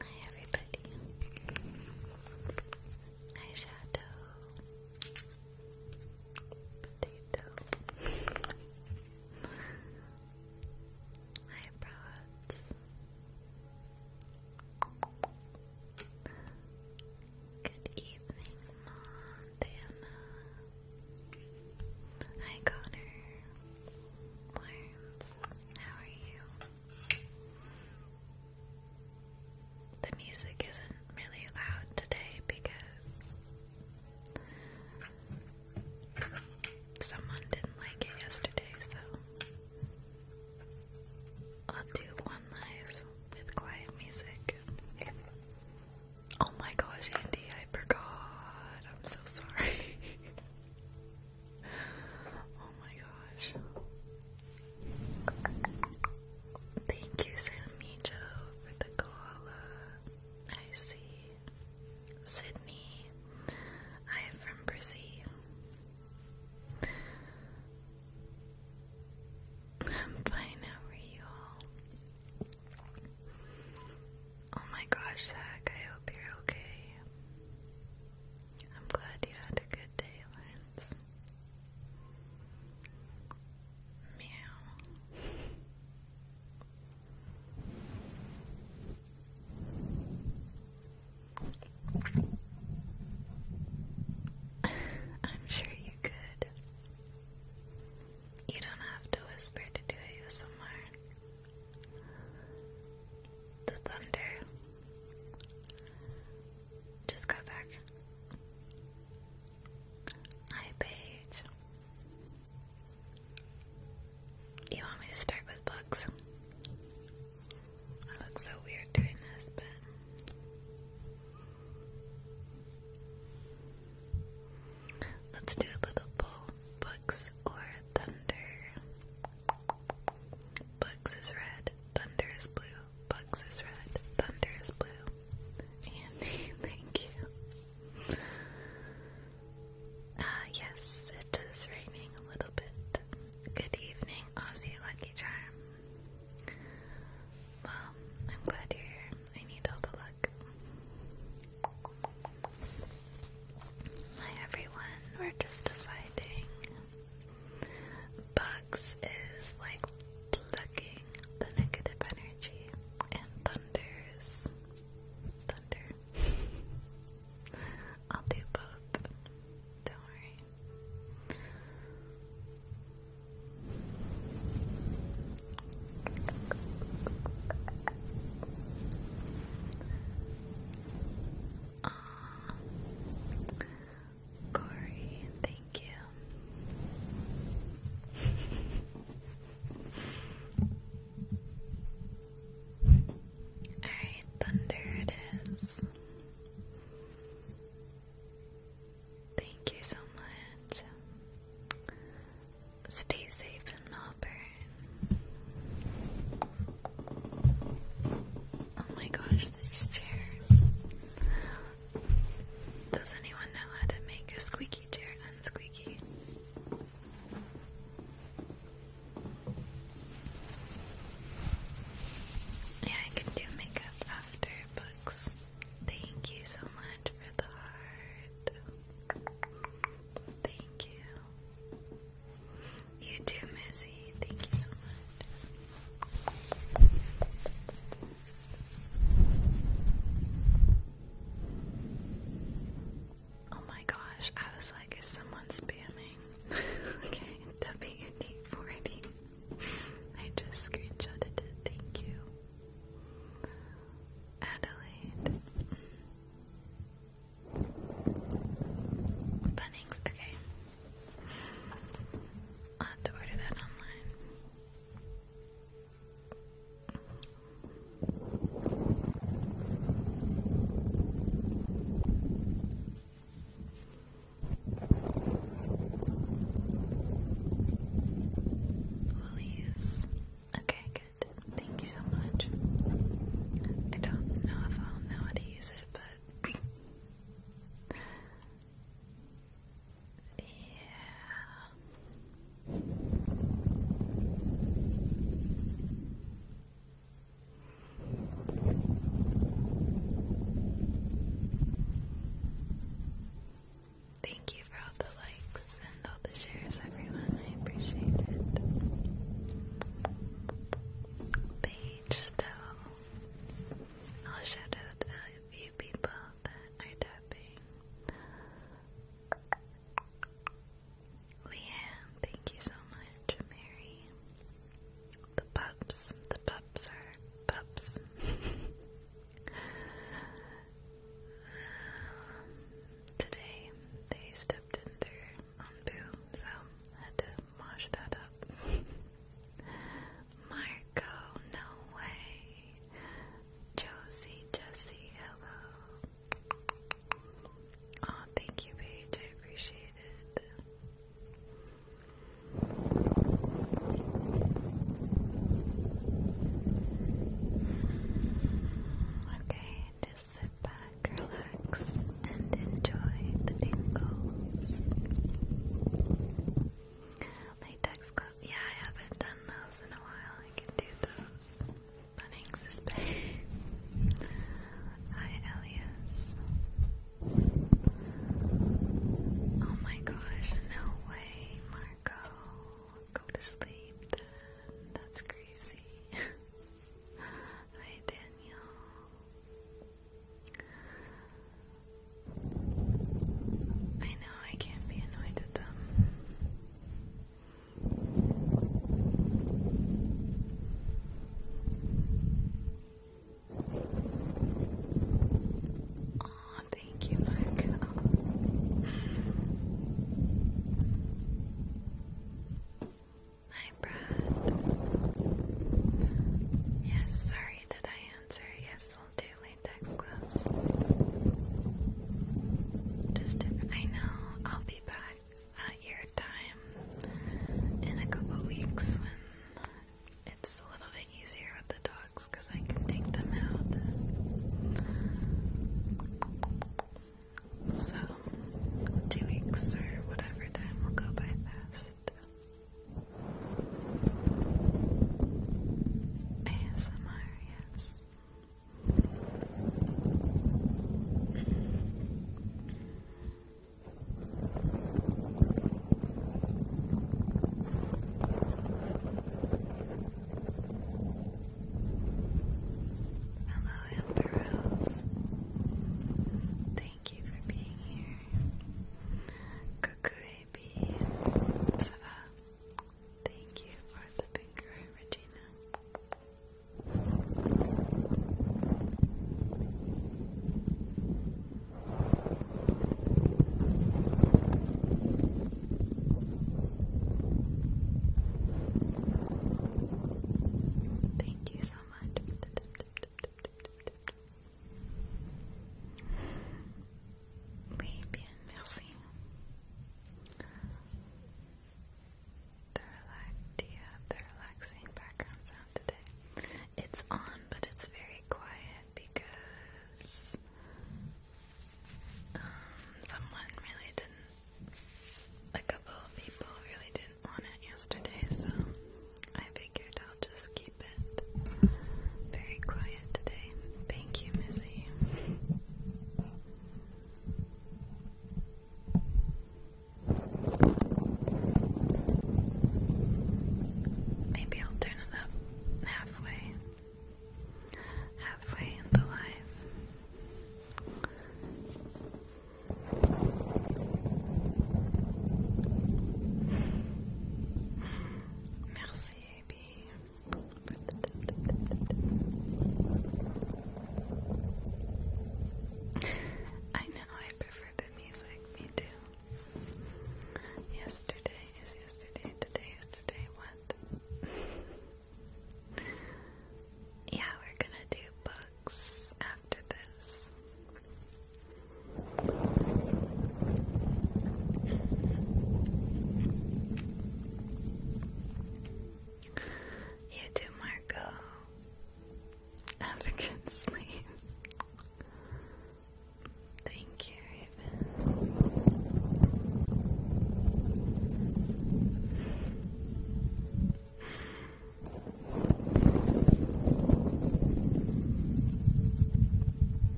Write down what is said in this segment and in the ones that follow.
Hi everybody. Hi Shadow. Potato. Hi Broads. Good evening, Montana. Hi Connor. Worms. How are you? The music isn't really loud today because someone didn't like it yesterday, so I'll do one live with quiet music. Oh my gosh, Andy, I forgot. I'm so sorry. Oh my gosh. Thank you, Samijo, for the koala. I see. Sydney. I am from Brazil. I'm fine, how you all? Oh my gosh, Zach, I hope you're okay. I'm glad you had a good day, Lance. Meow. I'm sure you could. You don't have to whisper to do ASMR. The thunder just got back. Hi, Paige. You want me to start with books? I look so weird doing this, but. Let's do a little poll. Books or thunder? Bugs is red, thunder is blue. Bugs is red, thunder is blue. Andy, thank you. Ah, yes, it is raining a little bit. Good evening, Aussie Lucky Charm. Well, I'm glad you're here. I need all the luck. Hi everyone, we're just deciding. Bugs is like plucking the negative energy, and thunders. Thunder. I'll do both. Don't worry. Uh, Corey, thank you. Alright, Thunder it is. Thank you so much. Stay safe in Melbourne. Oh my gosh, this chair. Does anyone know how to make a squeaky chair unsqueaky? Yeah, I can do makeup after books. Thank you so much for the heart. Thank you. You too, Missy. Thank you so much. Oh my gosh, I was like, is someone spamming? okay, WD40. I just screenshotted it, thank you. Adelaide. Bunnings, okay. I'll have to order that online. Woolies. Okay, good. Thank you so much. I don't know if I'll know how to use it, but yeah. Thank you for all the likes and all the shares, everyone. I appreciate it page still. I'll shout out a few people that are tapping. Leanne, thank you so much. Mary. The pups. The pups are pups. Um, today they stepped in their boom, so had to mosh that up. Marco, no way. Josie, Jesse, hello. Oh, thank you, Paige. I appreciate it. Okay, just back, relax, and enjoy the tingles. Latex gloves. Yeah, I haven't done those in a while. I can do those. Bunnings is back. Hi, Elias. Oh my gosh, no way, Marco. Go to sleep That's crazy. Hi, Danielle. I know I can't be annoyed at them. oh, thank you, Marco. Hi, Brad. Yes, sorry, did I answer? Yes, we'll do latex gloves. Just I know I'll be back at your time in a couple weeks when it's a little bit easier with the dogs because I can take them out. So, two weeks or whatever time will go by fast. ASMR, yes. Hello, Amber thank you for being here. Cuckoo Thank you for the finger, Regina. Thank you much for the tip, tip, tip, tip, tip, tip, tip. Oui, bien, merci. The, relax yeah, the relaxing background sound today. It's on, but it's very quiet because um, someone really didn't, a couple of people really didn't on it yesterday, so I figured I'll just keep it very quiet today. Thank you, Missy. Maybe I'll turn it up halfway. Halfway in the live. Merci, AB, I know, I prefer the music, me too. Yesterday is yesterday, today is today, what? yeah, we're gonna do book you too, Marco. Have a sleep. Thank you,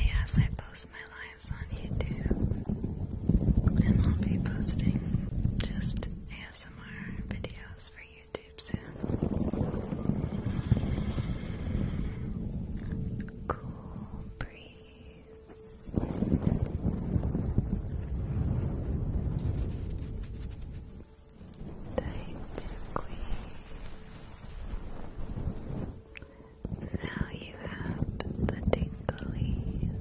Yes, I post my lives on YouTube, and I'll be posting just ASMR videos for YouTube soon. Cool breeze. Time to Now you have the tinglies.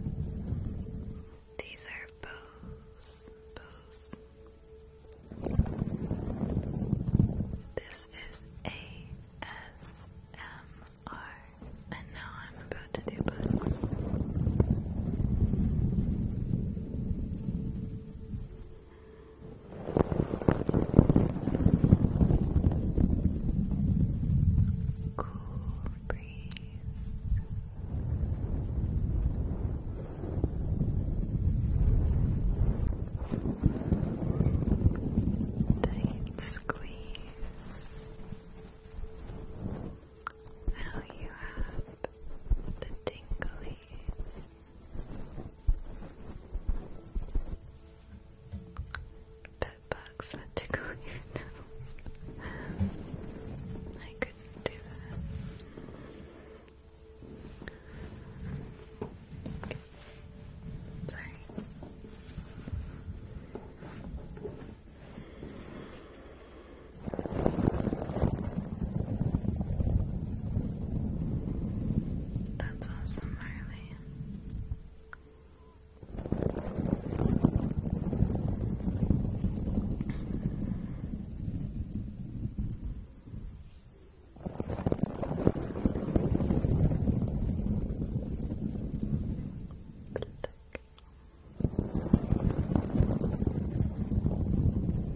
These are bows, bows. This is ASMR, and now I'm about to do bugs. Cool breeze. Tight squeeze. Now you have the tingly please. Pet that tickle your nose. I couldn't do that. Sorry. That's awesome, Harley. Pluck. Hi,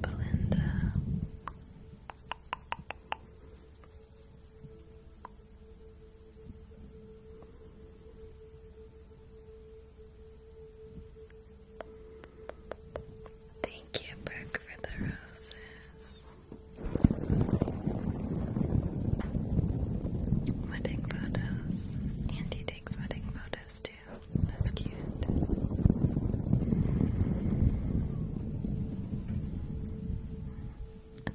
Belinda. Thank you, Brooke, for the roses. Wedding photos. Andy takes wedding photos too. That's cute.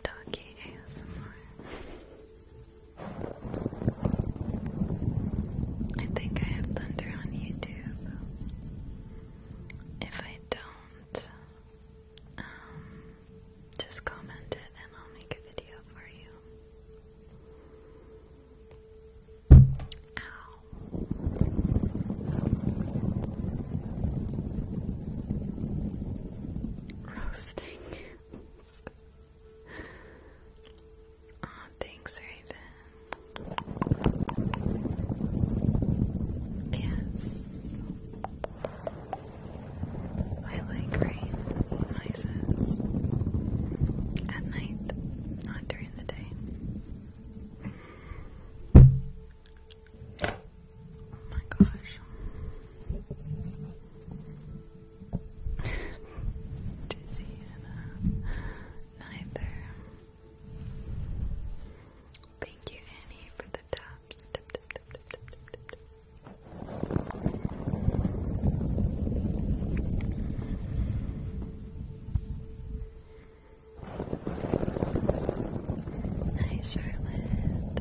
Doggy ASMR. I think I have Thunder on YouTube. If I don't, um, just comment it and I'll make a video for you. Ow. Roasting. oh, thanks, Raven. Yes. I like rain noises at night, not during the day. Oh my gosh. Dizzy Anna. Uh, neither. Thank you, Annie, for the taps. Hi, Charlotte.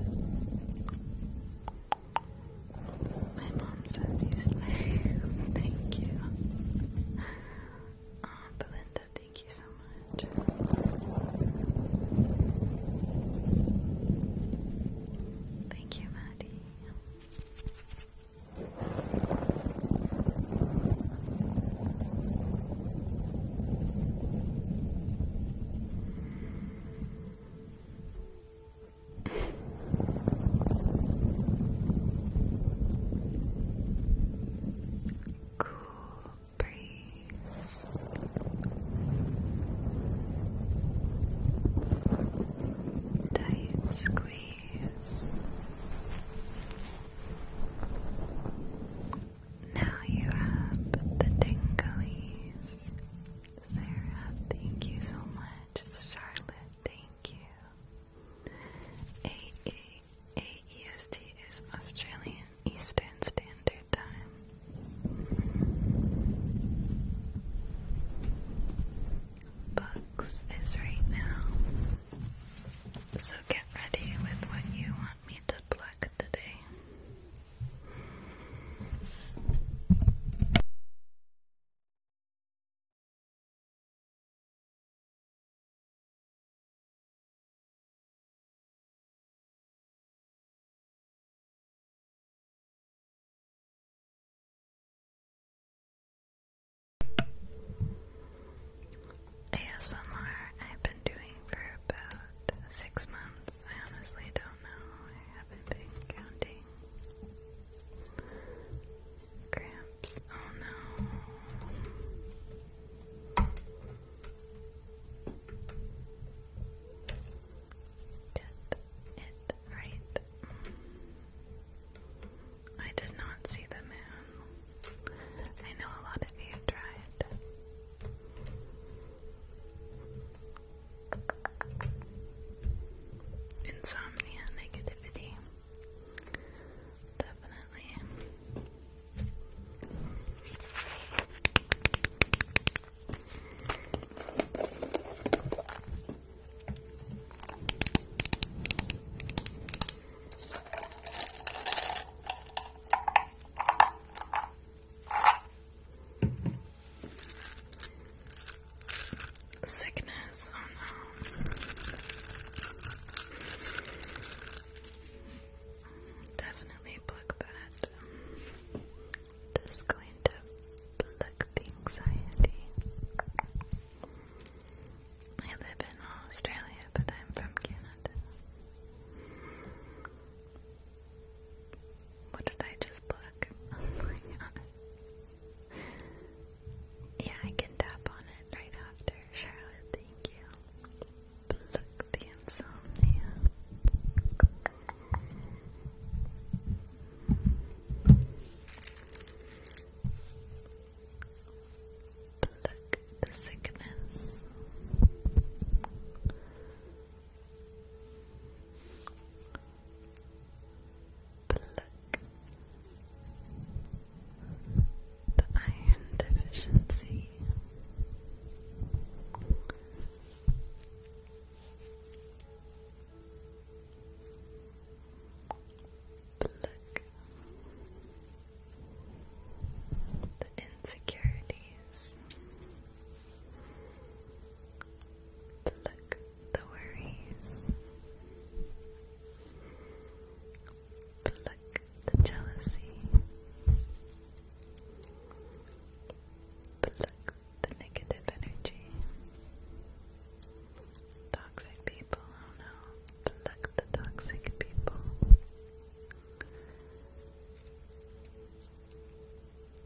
My mom says you slay. Thank you. Uh, Belinda, Thank you so much. Thank you, Maddie cool breeze. Tight squeeze. Now you have the dingoes. Sarah, thank you so much. Charlotte, thank you. AE AEST is Australian Eastern Standard Time. Bucks is right now. So get ready with what you want me to pluck today. ASMR I've been doing for about six months. I honestly don't know. I haven't been counting. Cramps. Oh no. Get it right. I did not see the moon. I know a lot of you tried. Insomnia, negativity. Definitely. Sickness, oh no. Definitely pluck that. Just going to block the anxiety. I live in Australia, but I'm from Canada. What did I just pluck? Oh yeah, I can tap on it right after. Charlotte, thank you. Pluck the insomnia. Pluck the sickness. Pluck the iron deficiency. Look, the insecurities. Look, the worries. Look, the jealousy, reflect the negative energy. Toxic people, oh no, pluck the toxic people.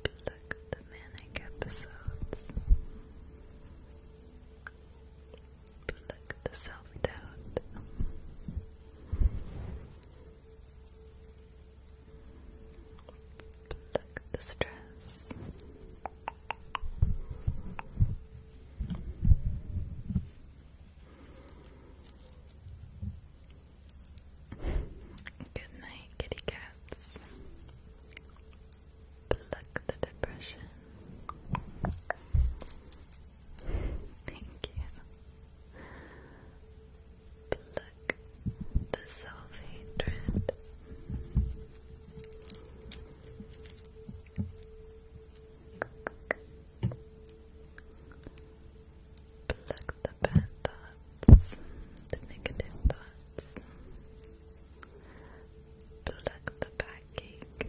Pluck the manic episodes. Look at the self-doubt. Look at the stress. Good night, kitty cats. Pluck the depression. Thank the self-hatred. Pluck the bad thoughts, the negative thoughts. Pluck the bad that cake.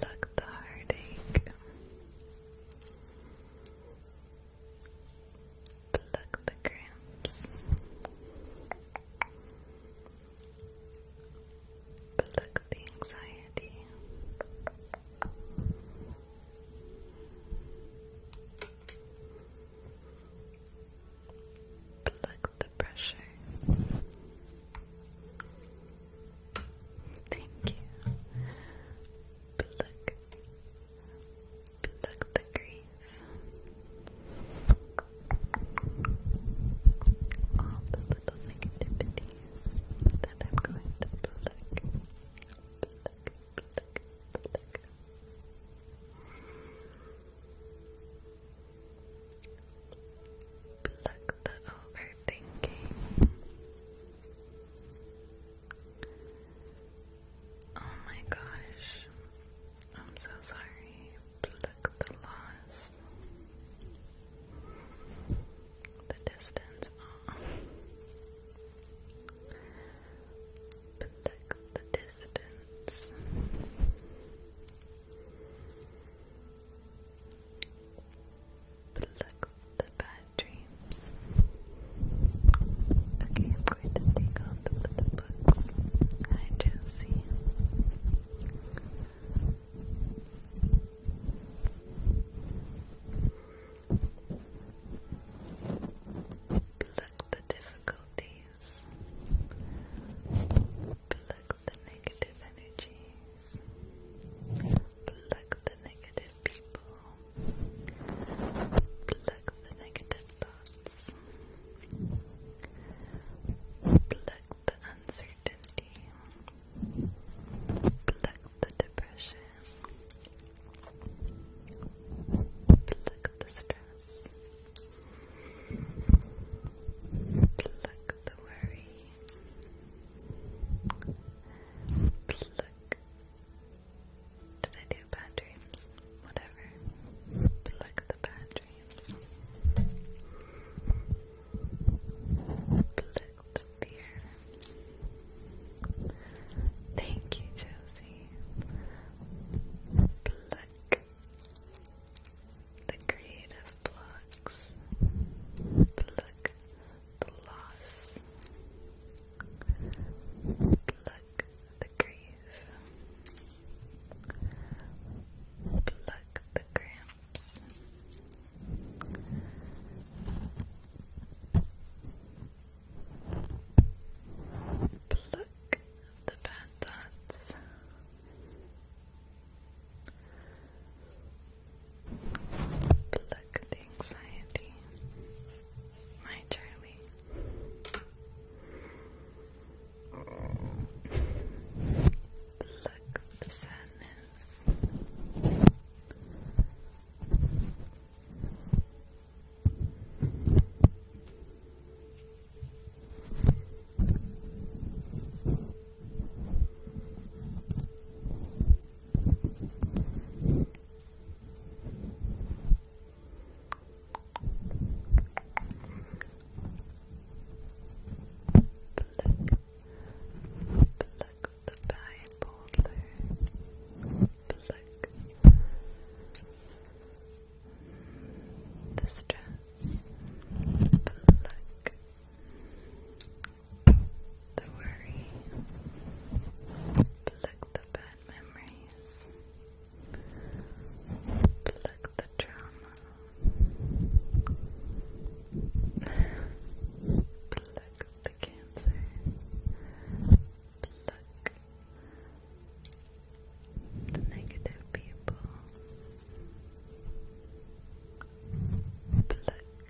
the heartache. Pluck the cramps. Pluck the anxiety. Plug the pressure. Thank you. Plug. Plug the grief. All the little negativities that I'm going to pluck. Pluck, pluck, pluck. Pluck the overthinking. Oh my gosh. I'm so sorry. Pluck the loss. The distance. Aww. the distance. Pluck the bad dreams. Okay, I'm going to take out the books. Hi, Josie. Pluck the difficulty energies. Pluck the negative energies. Pluck the negative people. Pluck the negative thoughts. Pluck the uncertainty. Pluck the depression. Pluck the stress. Pluck Pluck the worry. Pluck. Did I do bad dreams? Whatever. Pluck the bad dreams. Pluck the fear. Thank you, Josie. Pluck the creative blocks, pluck the loss, pluck the grief, pluck the cramps. Pluck the bad thoughts, Pluck the anxiety. Hi, Charlie. Pluck the sadness. Pluck the pie boulder. Pluck the stress, pluck the worry, pluck the bad memories, pluck the trauma, pluck the cancer, pluck the negative people. Pluck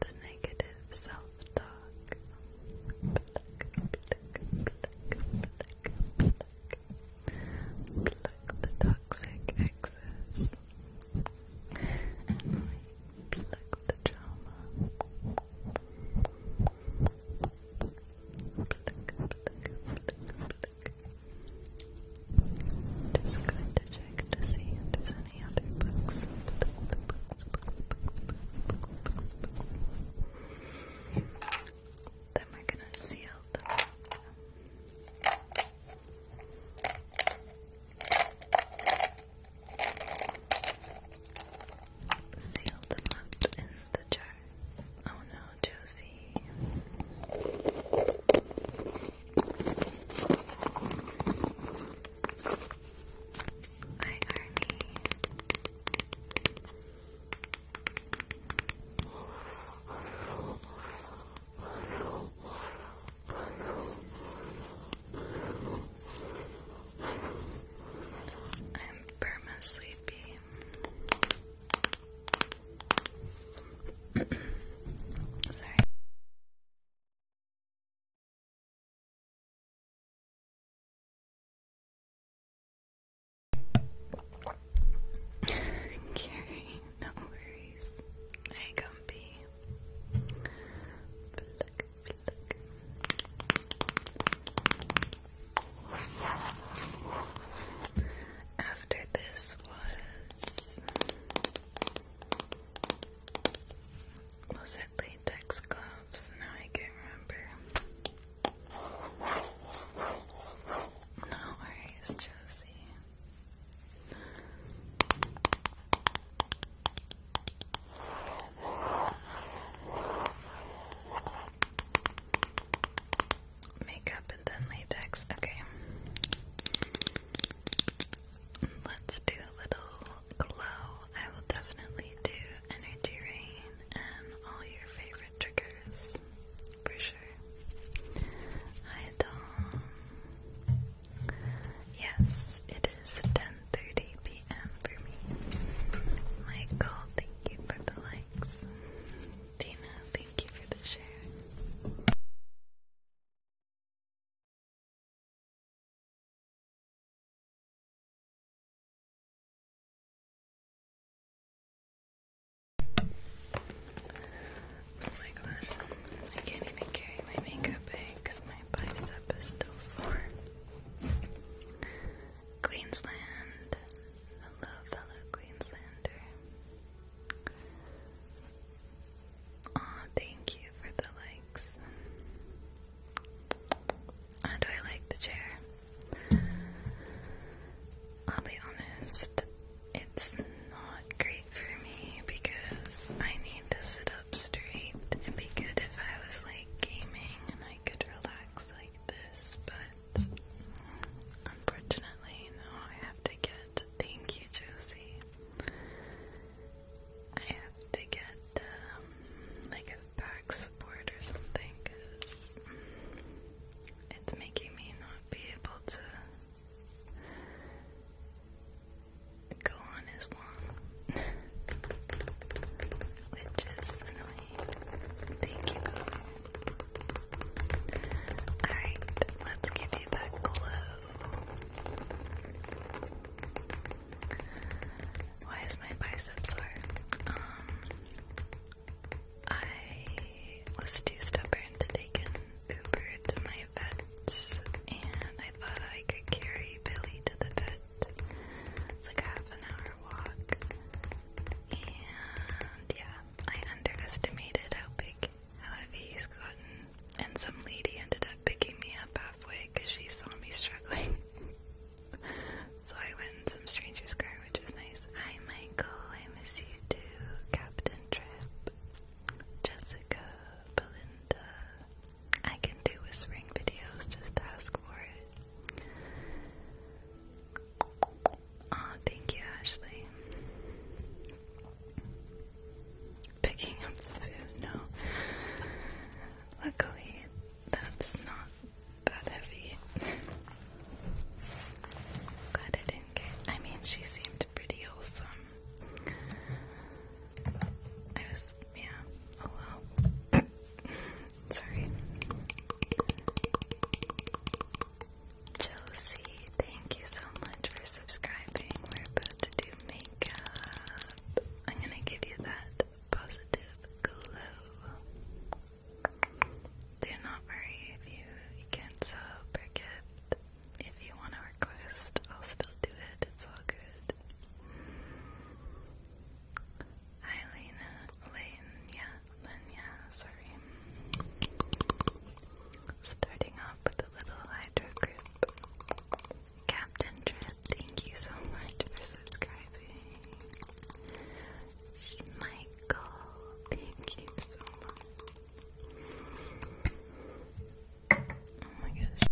the negative self-talk. Pluck, pluck, pluck, pluck, pluck. Pluck the toxic excess. And the trauma. Just going to check to see if there's any other books. Then we're gonna seal them. Seal them up in the jar. Oh no, Josie. Hi, Arnie. I'm perma Sorry. Carrie, no worries. I can be. After this was was it latex gloves? Now I can't remember. No worries, Josie makeup and then latex. Okay. Let's do a little glow. I will definitely do energy rain and all your favorite triggers for sure. Hi Dom. Yes, it is 10:30 p.m. for me. Michael, thank you for the likes. Tina, thank you for the share. Oh my gosh, I can't even carry my makeup bag because my bicep is still sore. Queensland. Hello, fellow Queenslander. Aw, thank you for the likes. How do I like the chair? I'll be honest, it's not great for me because I need to sit up straight. It'd be good if I was like gaming and I could relax like this, but unfortunately, no, I have to get, thank you, Josie. I have to get, um, like a back support or something, because it's making me not be able to go on as long, which is annoying. Thank you. Alright, let's give you that glow. Why is my biceps sore? Um, I was too stubborn to take an Uber to my vet's, and I thought I could carry Billy to the vet. It's like a half an hour walk, and yeah, I underestimated how big, how heavy he's gotten, and some lady ended up picking me up halfway because she saw me struggling. so I went in some stranger's car, which was nice. Hi, Michael. I miss you too. Captain Trip, Jessica, Belinda. I can do whispering videos. Just ask for it. Ah, thank you, Ashley. Picking up the food, no. Luckily, that's not that heavy. Glad I didn't get. I mean, she seemed pretty awesome. I was, yeah. Oh Sorry. Josie, thank you so much for subscribing. We're about to do makeup. I'm gonna give you that positive glow. Do not worry if you, can't sub or gift. If you want to request, I'll still do it. It's all good. Hi, Lena. Lane, yeah then yeah, sorry. Starting off with a little hydro group. Captain Dread, thank you so much for subscribing. Michael, thank you so much. Oh my gosh.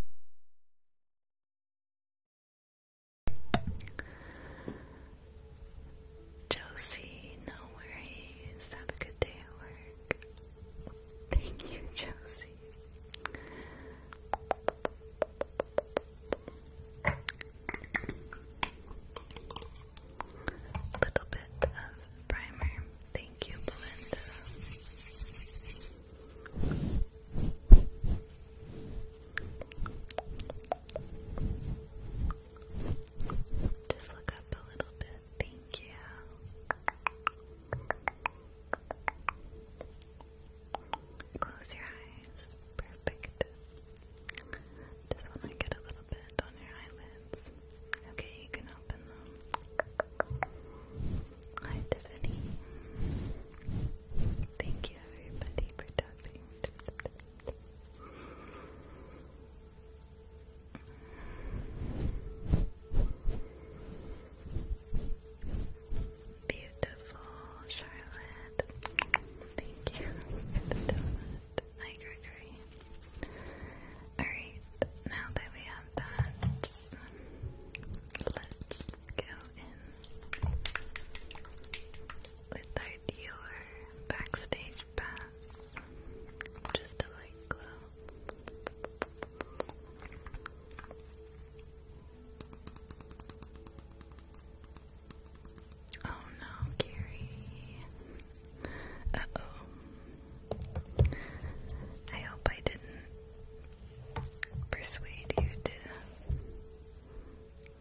Josie, no worries. Have a good day at work. Thank you, Josie. little bit of primer. Thank you, Belinda. Just look up a little bit. Thank you. Close your eyes. Perfect. Just want to get a little bit on your eyelids. Okay, you can open them. Hi, Tiffany. Thank you, everybody, for tapping. Beautiful Charlotte. Thank you Hi Gregory. Alright, now that we have that, let's go in our dealer backstage pass. Just a light glow. Oh no, Gary. Uh oh. I hope I didn't persuade you to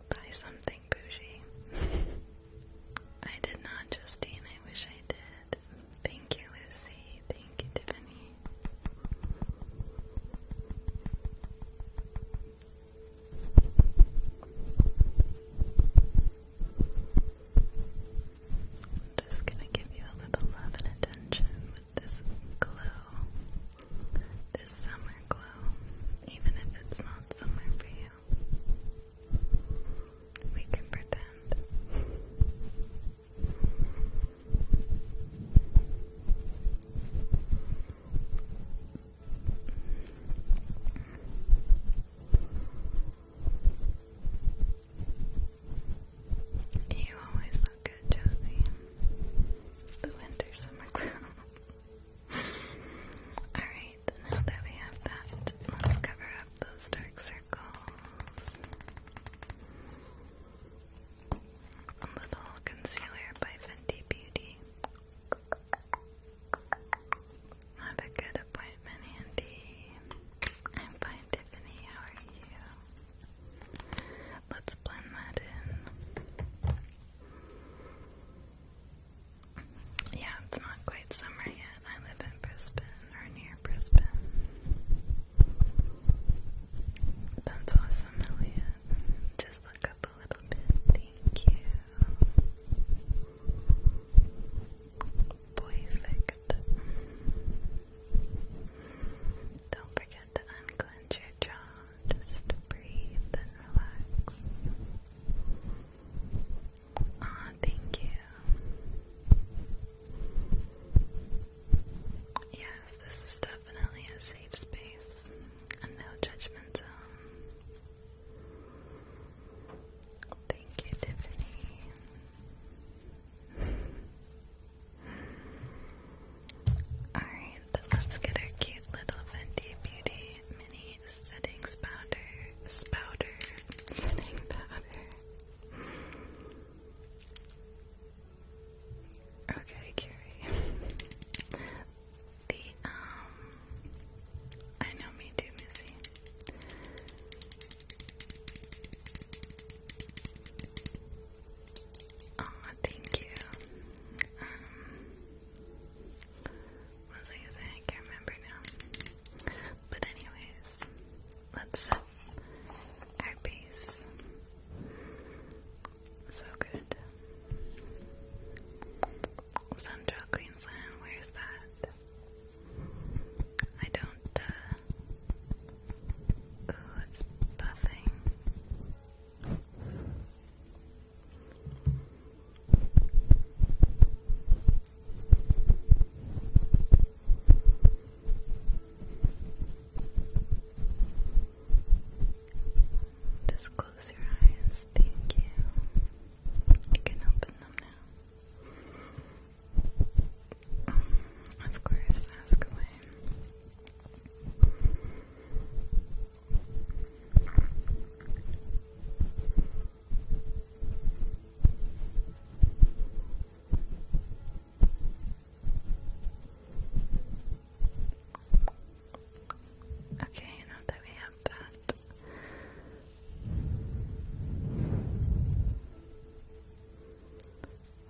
buy something bougie. I did not, Justine. I wish I did. Thank you, Lucy. Thank you, Tiffany. just gonna give you a little love and attention with this glow, this summer glow, even if it's not summer for you. We can pretend. You always look good, Josie. The winter summer glow. Alright, now that we have that, let's cover up those dark circles. little concealer by Fenty Beauty. Have a good appointment, Andy. I'm fine, Tiffany. How are you? Let's blend that in. Yeah, it's not quite summer yet. I live in Brisbane or near Brisbane. That's awesome, Elliot. Just look up a little bit. Thank you. Perfect. Don't forget to unclench your jaw. Just breathe and relax. Ah, thank you. Yes, this is definitely a safe space, a no judgment zone. Thank you, Tiffany. Alright, let's get our cute little Fenty Beauty mini setting spouter, spouter, setting powder. Okay, Carrie. the um, I know me too, Missy. oh, thank you. Um, what was I saying? I can't remember now. But anyways, let's set our base. So good. Central Queensland, where's that? I don't, uh, Ooh, it's buffing. Just close your eyes. Thank you. You can open them now. Um, of course, ask Okay, now that we have that.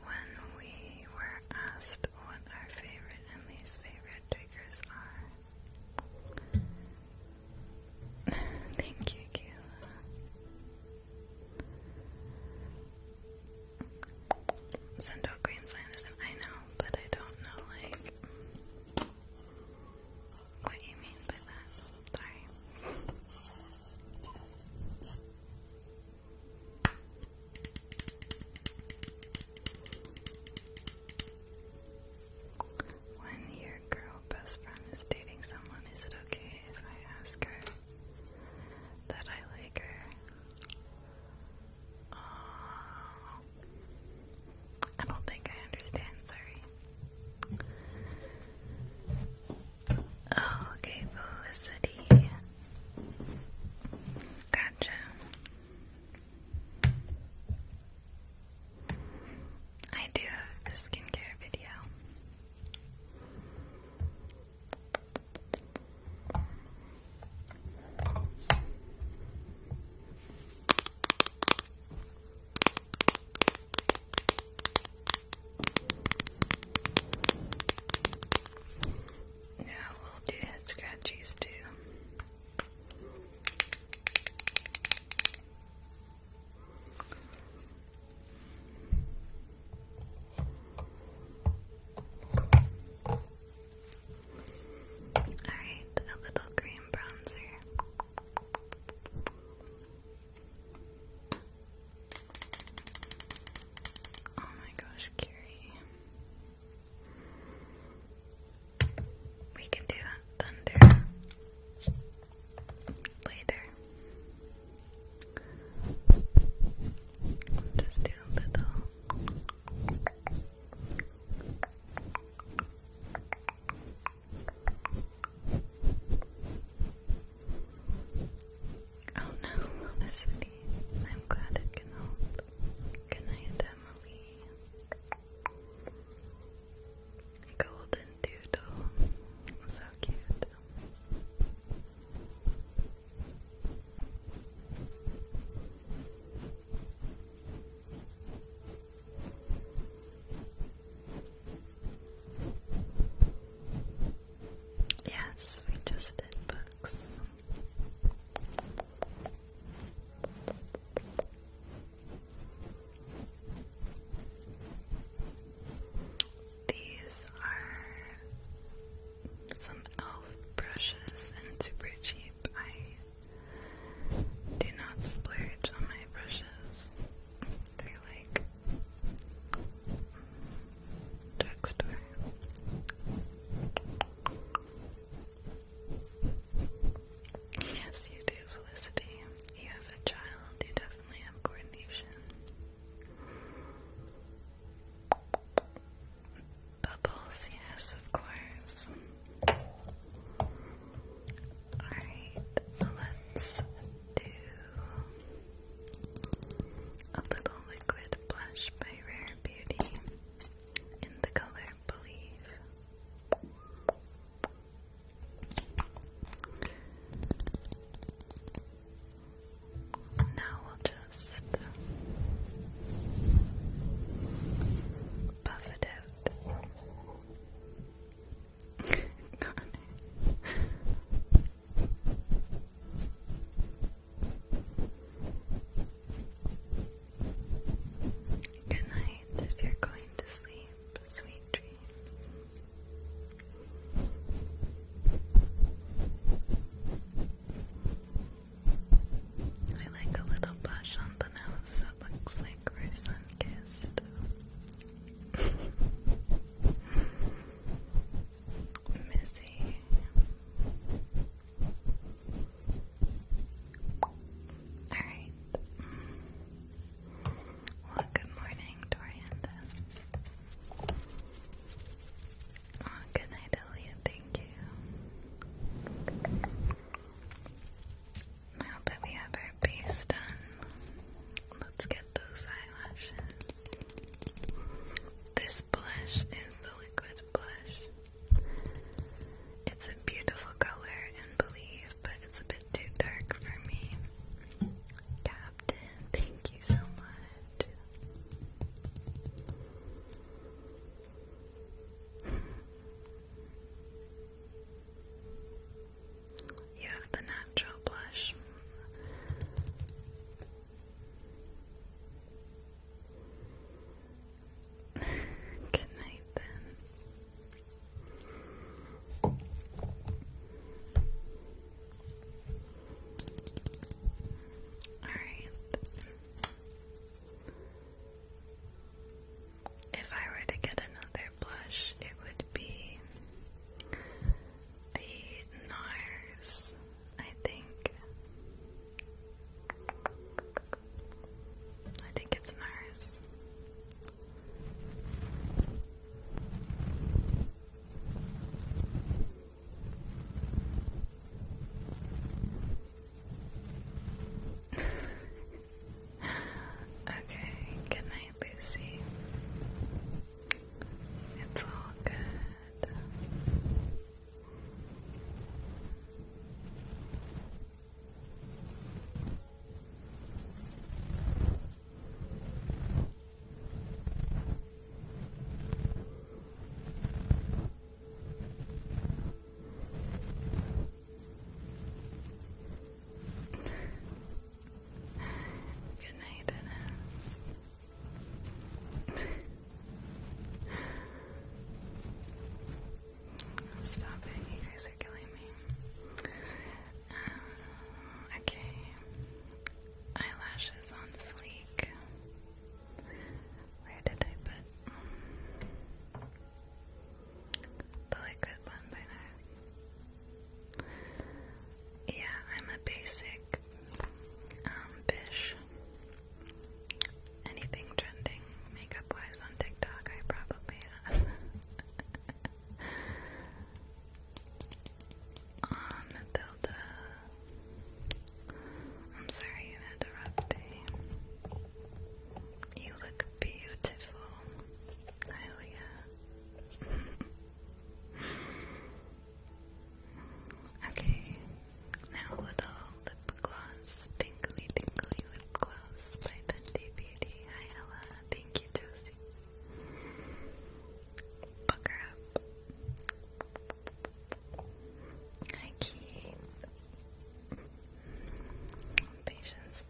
When we were asked what our favorite and least favorite triggers are, Thank you, Kayla. Sendo green sinism. I know, but I don't know, like, what you mean by that. Sorry. When your girl best friend is dating someone, is it okay if I ask her that I like her? Uh, I don't think I understand, sorry. Oh, okay, Felicity. Gotcha. I do have a skincare video. Now we'll do head scratchies too. Alright, a little cream bronzer. Oh my gosh, Carrie. We can do thunder later. Just do a little. Oh no, Felicity. I'm glad it can help. Good night, Emily. Golden doodle. So cute. Yes, we just did books. These are some elf brushes and super cheap. I do not splurge on my brushes. They're like drugstore. Yes, you do, Felicity. You have a child, you definitely Bubbles, yes, of course. Alright, let's do a little liquid blush by Rare Beauty in the color Believe. Now we'll just buff it out. Good night if you're going to sleep, sweet dreams. I like a little blush on the nose that looks like we're sun kissed. Missy. Alright. Well, good morning, Dorianda. Oh, good night, Elliot. Thank you. Now that we have our base done, let's get those eyelashes. This blush is the liquid blush. It's a beautiful color and believe, but it's a bit too dark for me. Captain, thank you so much. You have the natural blush. Good night, then. Alright. If I were to get another blush, it would be the NARS, I think. I think it's NARS okay, good night, Lucy. It's all good. Good night, Dennis. Stop it, you guys are killing me. Um, okay. Eyelashes on fleek. Where did I put um, the liquid one by Yeah, I'm a basic um, bish. Anything trending makeup wise on TikTok I probably have. Matilda. I'm sorry I'm interrupting. You look beautiful. Oh okay, now little lip gloss, tingly tingly lip gloss by Bendy Beauty. Hi Ella, thank you Josie. Booker up. Hi, Keith. Patience.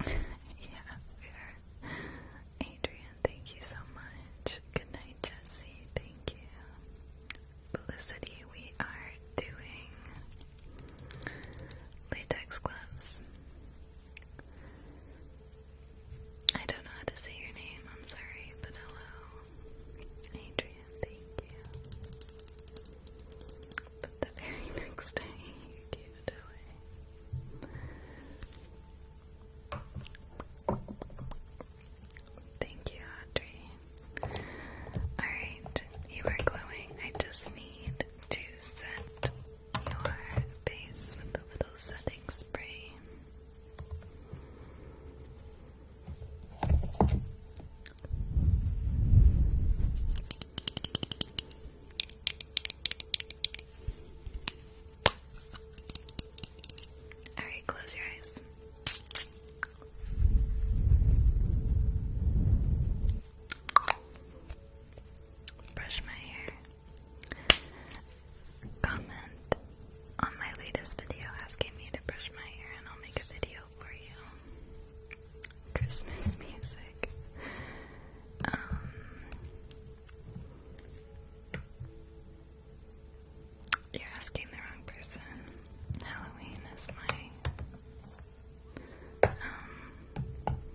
yeah, we Adrian, thank you so much. Good night, Jesse. Thank you. Felicity, we are doing latex gloves. I don't know how to say your name. I'm sorry, but hello. Adrian, thank you. But the very next day, you gave it away. Thank you, Audrey. Alright, you are glowing. I just need to set your face with a little setting spray. Alright, close your eyes. Brush my hair. Comment on my latest video asking me to brush my hair, and I'll make a video for you. Christmas music. Um, you're asking the wrong person. Halloween is my um,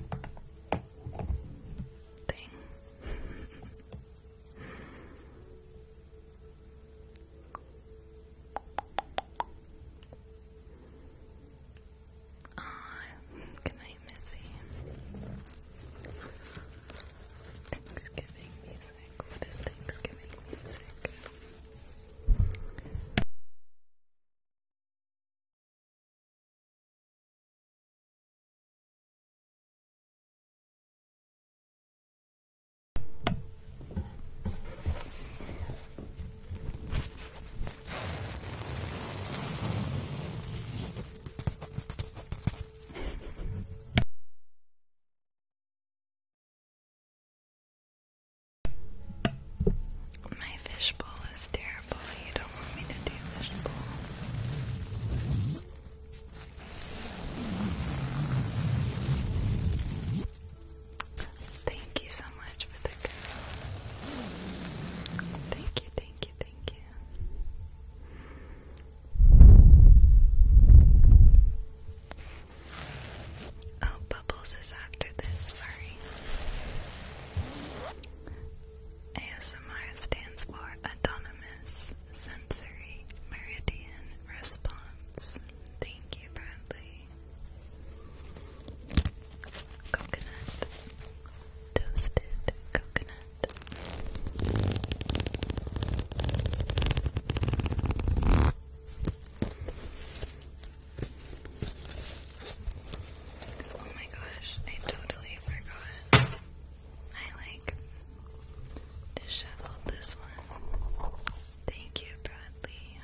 thing. good uh, night, Missy. Thanksgiving music. What is Thanksgiving music? My fishbowl is terrible. You don't want me to do fishbowl. Thank you so much for the girl. Thank you, thank thank you. Oh, Bubbles is after this, sorry. ASMR stands for Autonomous Sensory Meridian Response. Thank you, Bradley toasted coconut. Oh my gosh, I totally forgot. I like disheveled this one. Thank you, Bradley.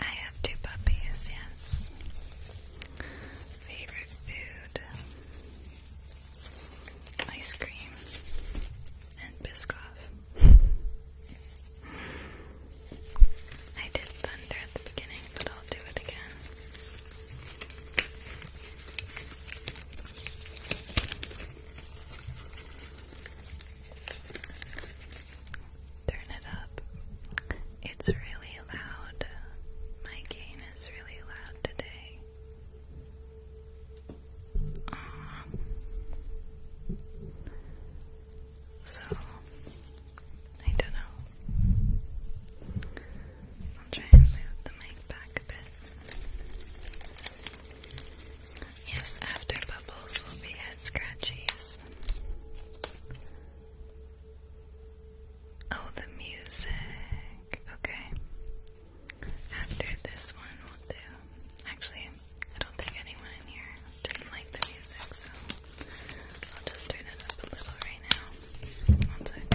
I have two puppies, yes. Favorite food ice cream and Biscoff. I did thunder at the beginning, but I'll do it again. Turn it up. It's really loud. My game is really loud today. so I don't know. I'll try and move the mic back a bit. Yes, after bubbles will be head scratchies. Oh, the music. Okay. After this one, we'll do. Actually, I don't think anyone here didn't like the music, so I'll just turn it up a little right now.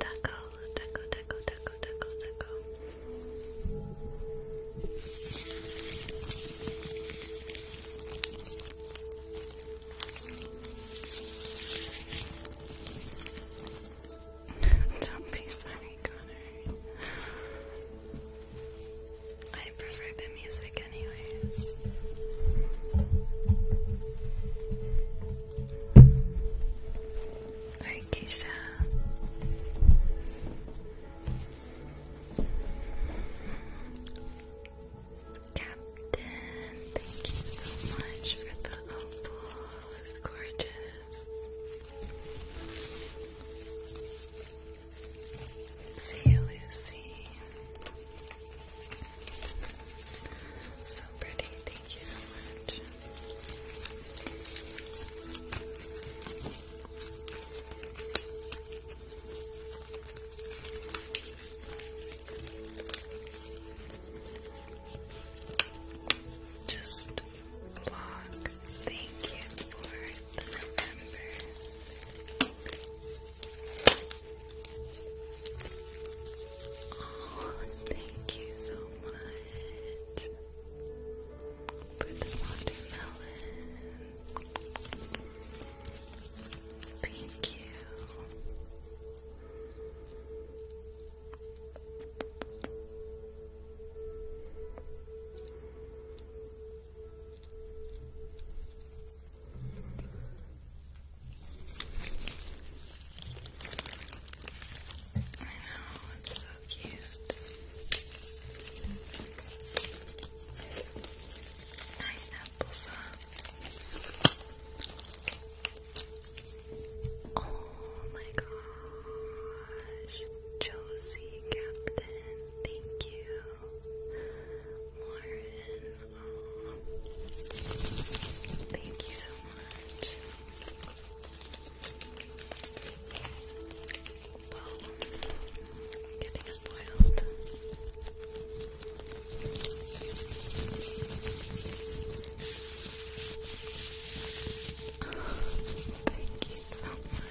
Taco, taco, taco, taco, taco, taco. Don't be sorry, Connor. I prefer the music, anyways. Hi, Keisha. Captain, thank you so much for the opal. gorgeous. See Lucy. So pretty. Thank you so much. Just vlog. Thank you for Oh, thank you so much for the watermelon. Thank you. I know, it's so cute. Pineapple sauce. Oh my gosh. Josie Captain, thank you. Thank you so much. getting spoiled. thank you so much.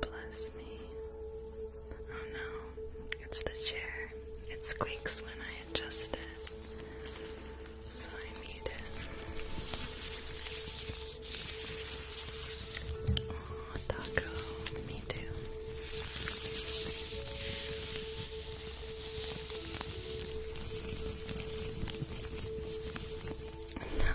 Bless me. Oh no, it's the chair. It squeaks when I adjust it. So I need it. Oh, Taco, me too. No.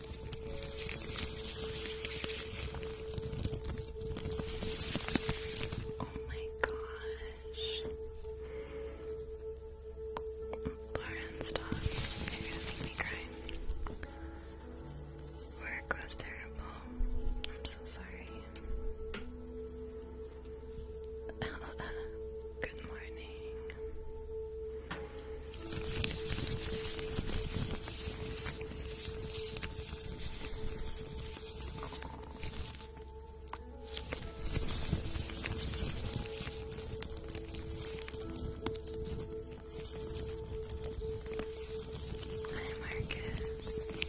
Oh my gosh. Lauren, stop. You're gonna make me cry. Work was terrible. I'm so sorry. Good morning. Hi, Marcus. Hi,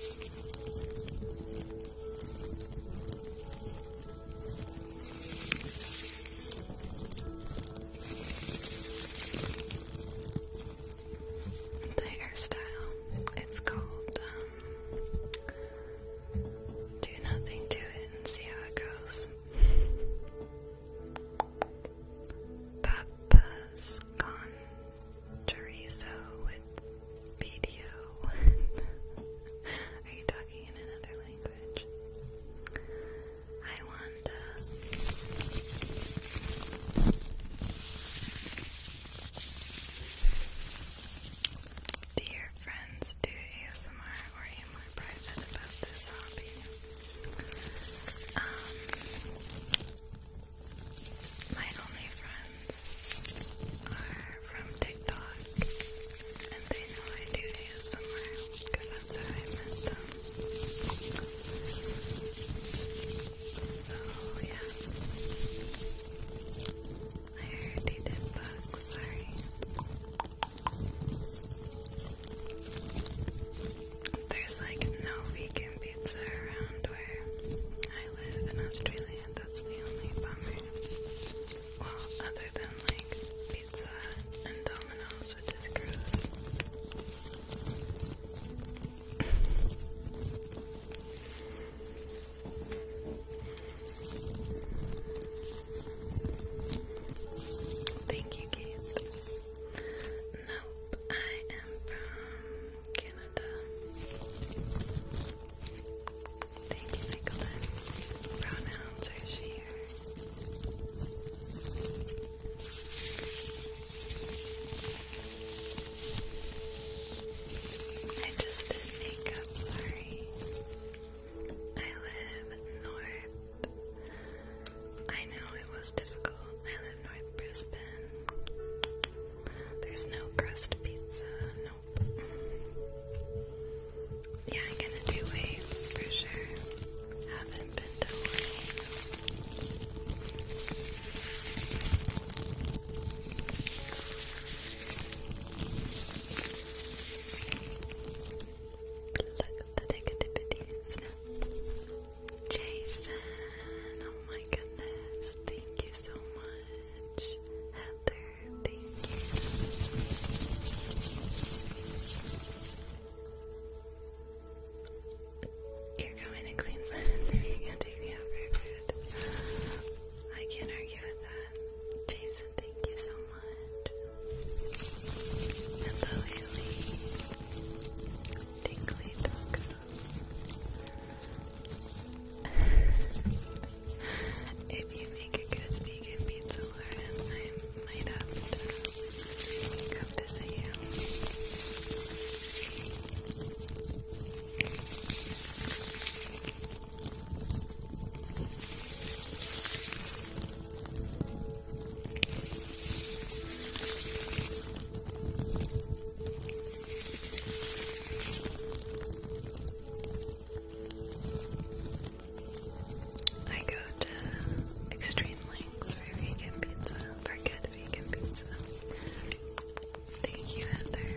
the hairstyle. It's called um, Do Nothing to It and See How It Goes. Papa's Con Chorizo with video. Are you talking in another language? Hi, uh, friends do ASMR or am I private about this hobby? Um, my only friends are from TikTok and they know I do ASMR because that's how I met them. So, yeah. I already did sorry. There's like no vegan pizza around where I live in Australia. That's the only bummer. Well, other than like pizza and Domino's, which is Thank you, Kate. Nope, I am from Canada. Thank you, Nicholas. Pronouns are she, I just did makeup, sorry. I live north. I know it was difficult. I live north Brisbane. There's no crust pizza, nope. Yeah, I'm gonna do waves for sure. Look the negativities Jason, oh my goodness, thank you so much. Heather, thank you. You're going to Queensland and then you can take me out for food. I can't argue with that. Jason, thank you so much. Hello, Haley. Dinkley Tacos. if you make a good vegan pizza, Lauren, I might have to Come to see you. I go to extreme links for vegan pizza, for good vegan pizza. Thank you, Heather.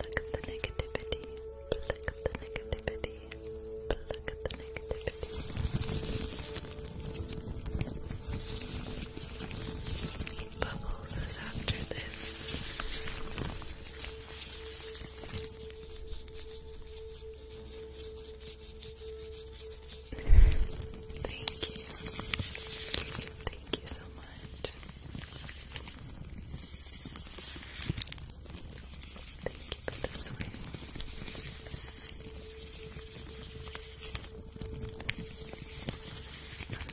Pluck the negativity, pluck the negativity, pluck the negativity. Bubbles is after this. Thank you. Thank you so much. Thank you for the swing. Thank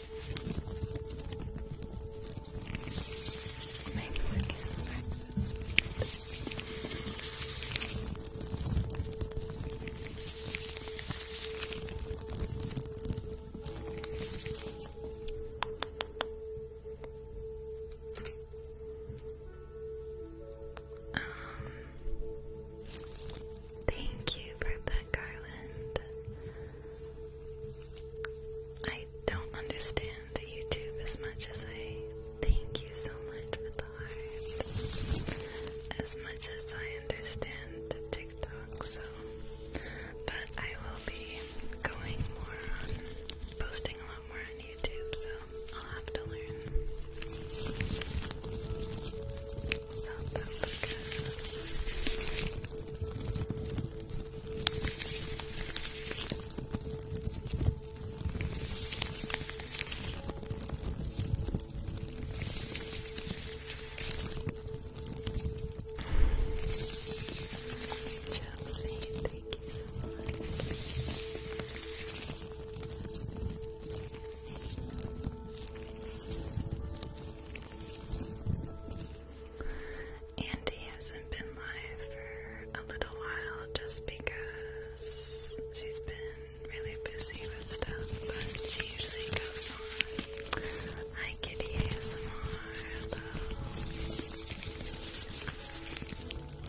Um, thank you for that garland. I don't understand the YouTube as much as I thank you so much for the heart. As much as I understand TikTok, so but I will be going more posting a lot more on YouTube, so I'll have to learn. South Africa. Chelsea, thank you so much. Andy hasn't been live for a little while just because she's been really busy with stuff, but she usually goes on. Hi ASMR,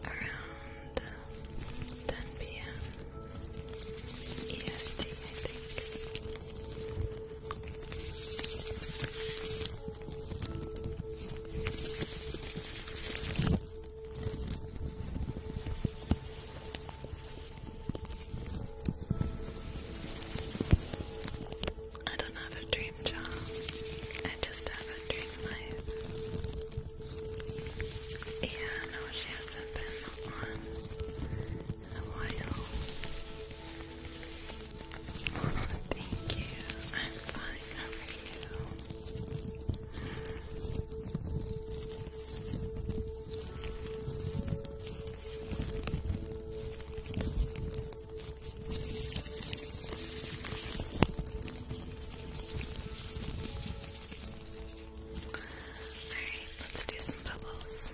Around 10 p.m. EST, I think. I don't have a dream job. I just have a dream life. Yeah, no, she hasn't been on in a while. Thank you. I'm fine. How are you? Alright, let's do some bubbles.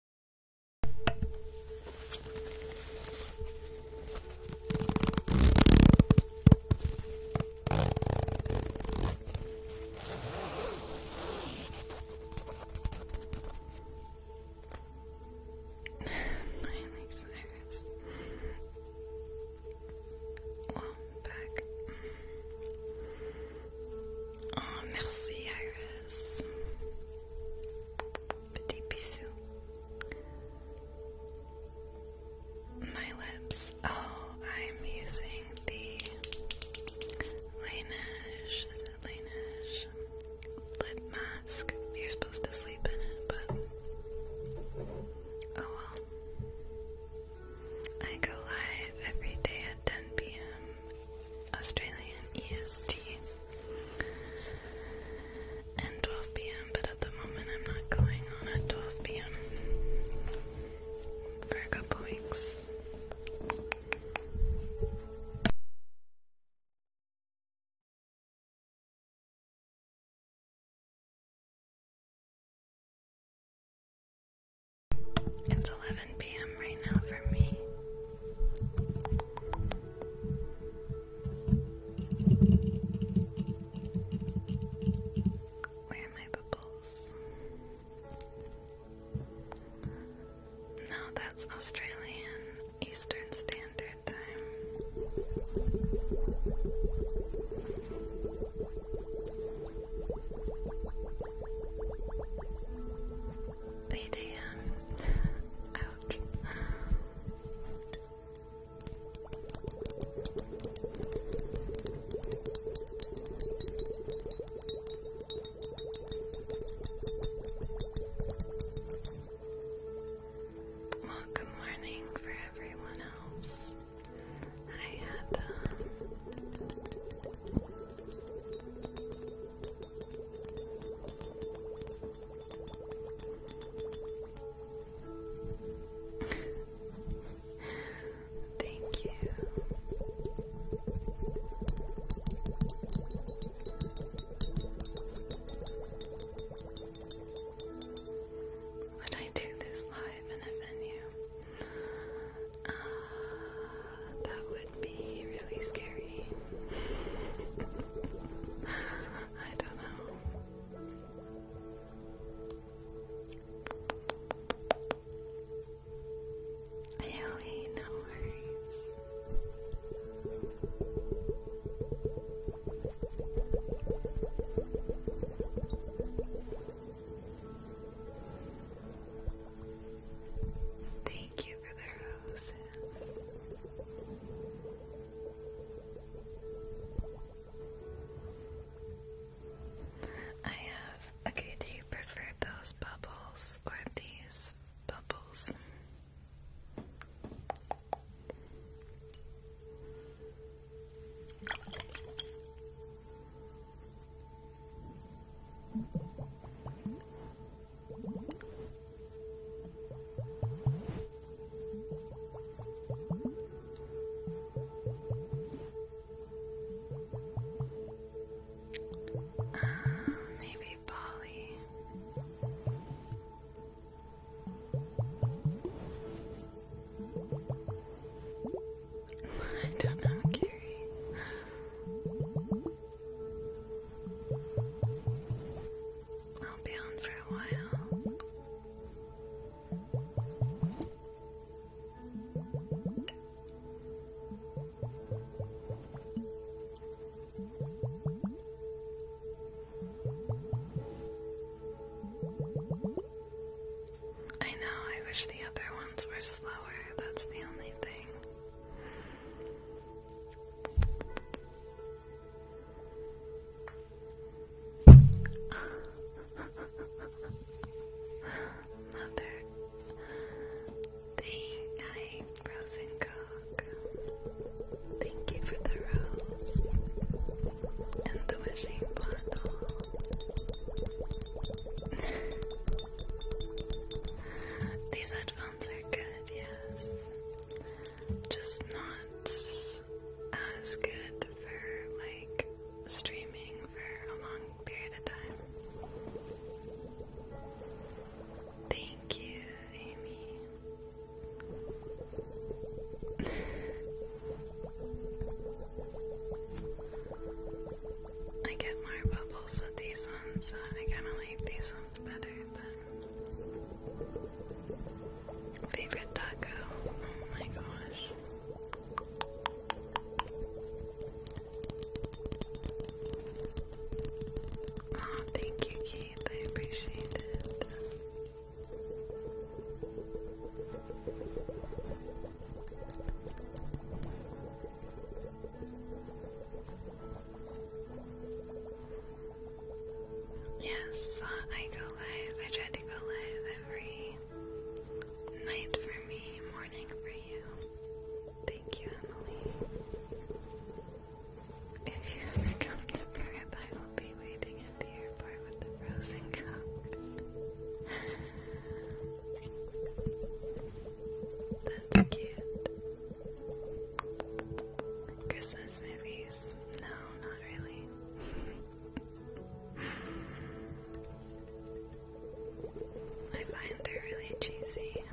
Cyrus. Well, back. Oh, merci, Iris. My lips. Oh, I'm using the Laneige, Laneige lip mask. You're supposed to sleep in it, but oh well. I go live every day at 10 p.m. Australian EST and 12 p.m. But at the moment, I'm not going on at 12 p.m. for a couple weeks. It's 11 p.m. right now for me. Where are my bubbles? No, that's Australian Eastern Standard Time. Eight AM. Well, good morning for everyone else. I had Thank you. Would I do this live in a venue? Uh, that would be really scary. I don't know. Really, no worries. Thank you for the rose. I have, okay, do you prefer those bubbles or these bubbles? Uh, maybe Polly. I don't know, Carrie. I'll be on for a while. I know, I wish the other ones were slower, that's the only thing. Mother, thing I frozen coke. Thank you for the rose and the wishing bottle. These headphones are good, yes just not as good for like streaming for a long period of time. Thank you, Amy. I get more bubbles with these ones, I kind of like these ones better, but Favorite taco? Oh my gosh. Oh, thank you, Keith. I appreciate it. Yes, I go live. I try to go live every night for me, morning for you. Thank you, Emily. If you ever come to Perth, I will be waiting at the airport with the frozen cup. That's cute. Christmas movies. No, not really. I find they're really cheesy.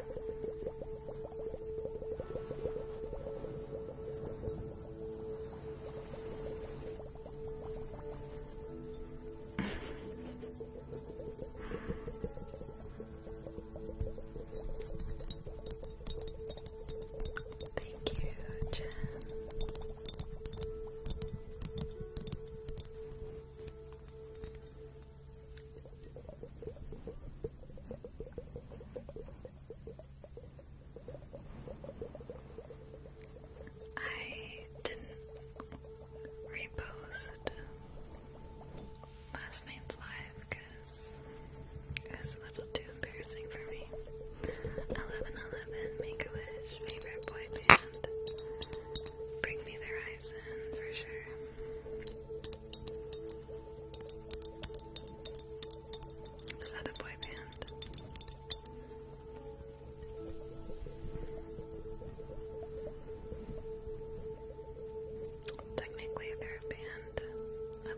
Thank you, Jen. I didn't repost last night's live it's a little too embarrassing for me. 1111, Make Wish, favorite boy band. Bring Me the Horizon for sure. Is that a boy band? Technically, they're a band,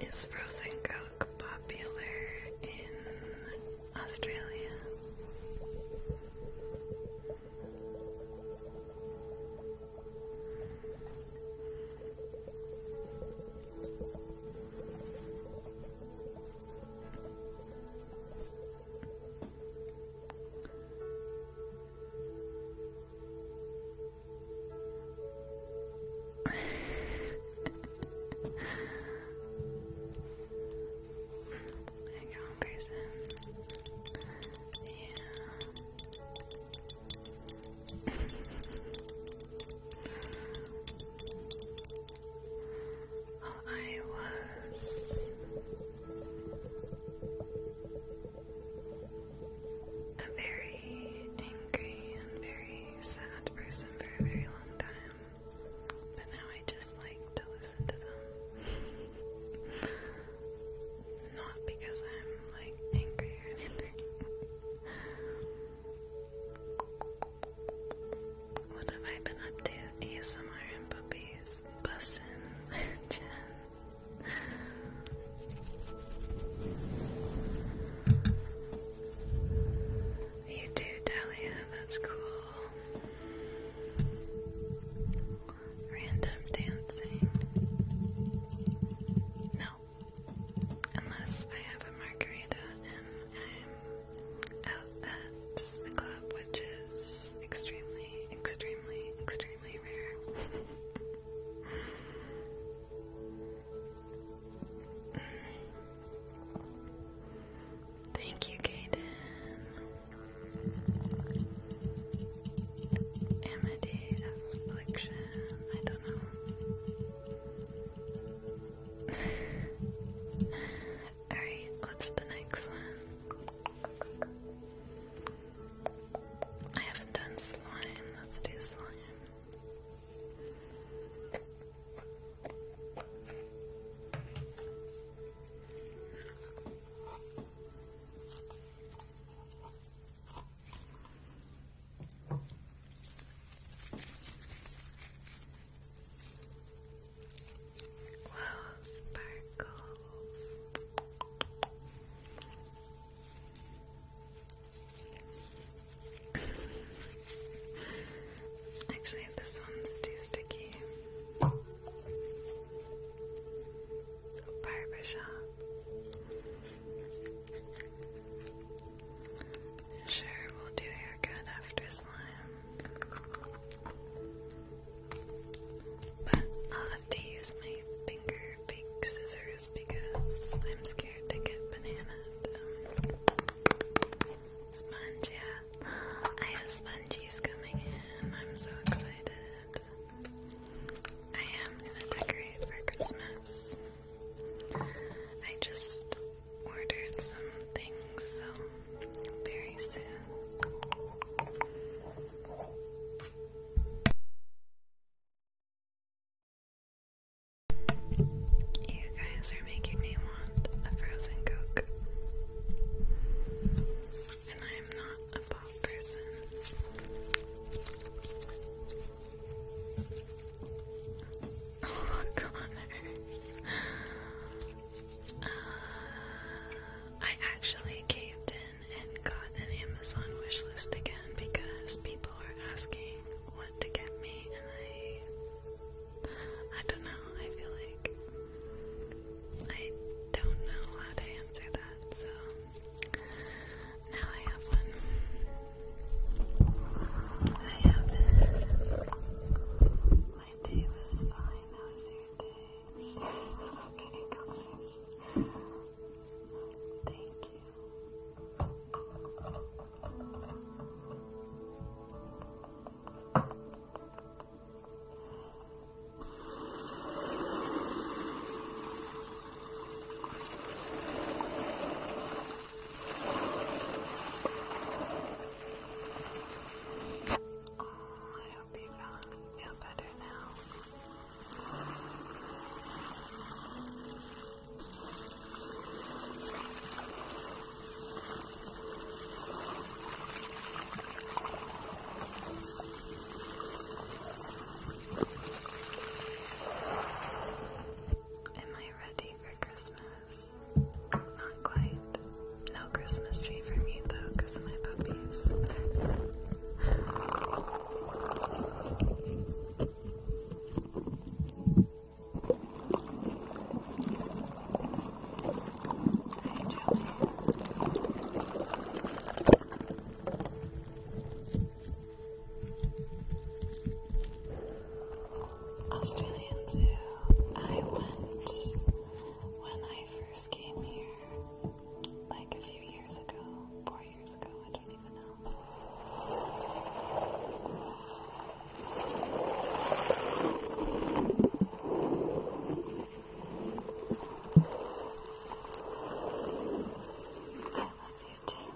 Is frozen Coke popular in Australia? I can Yeah. well, I was a very very angry and very sad person for a very long time. But now I just like to listen to them. Not because I'm like angry or anything. what have I been up to? ASMR and puppies, bussin, Jen. You do, Dahlia, that's cool. Random dancing. No. Unless I have a margarita and I'm out at the club, which is extremely, extremely, extremely rare. Thank you, Kaden. Amity affliction. I don't know. Alright, what's the next one? I haven't done slime. Let's do slime. Wow, sparkles. Actually, this one's too sticky. Barbershop. Sure, we'll do haircut after slime. But I'll have to use my finger big scissors because I'm scared to get bananaed. Um, yeah. I have spongies coming in. I'm so excited. I am gonna decorate for Christmas. I just ordered some things, so very soon. You guys are making me want a frozen Coke. And I am not a pop person. Oh, Connor. Uh, I actually caved in and got an Amazon wishlist again because people are asking to get me, and I, I don't know. I feel like I don't know how to answer that, so now I have one. My day was fine. How was your day? okay, come Thank you. Oh, I hope you feel better now. Am I ready for Christmas? Not quite. No Christmas tree for me though, because of my puppies. Australian Zoo. I went when I first came here, like a few years ago, four years ago, I love you too.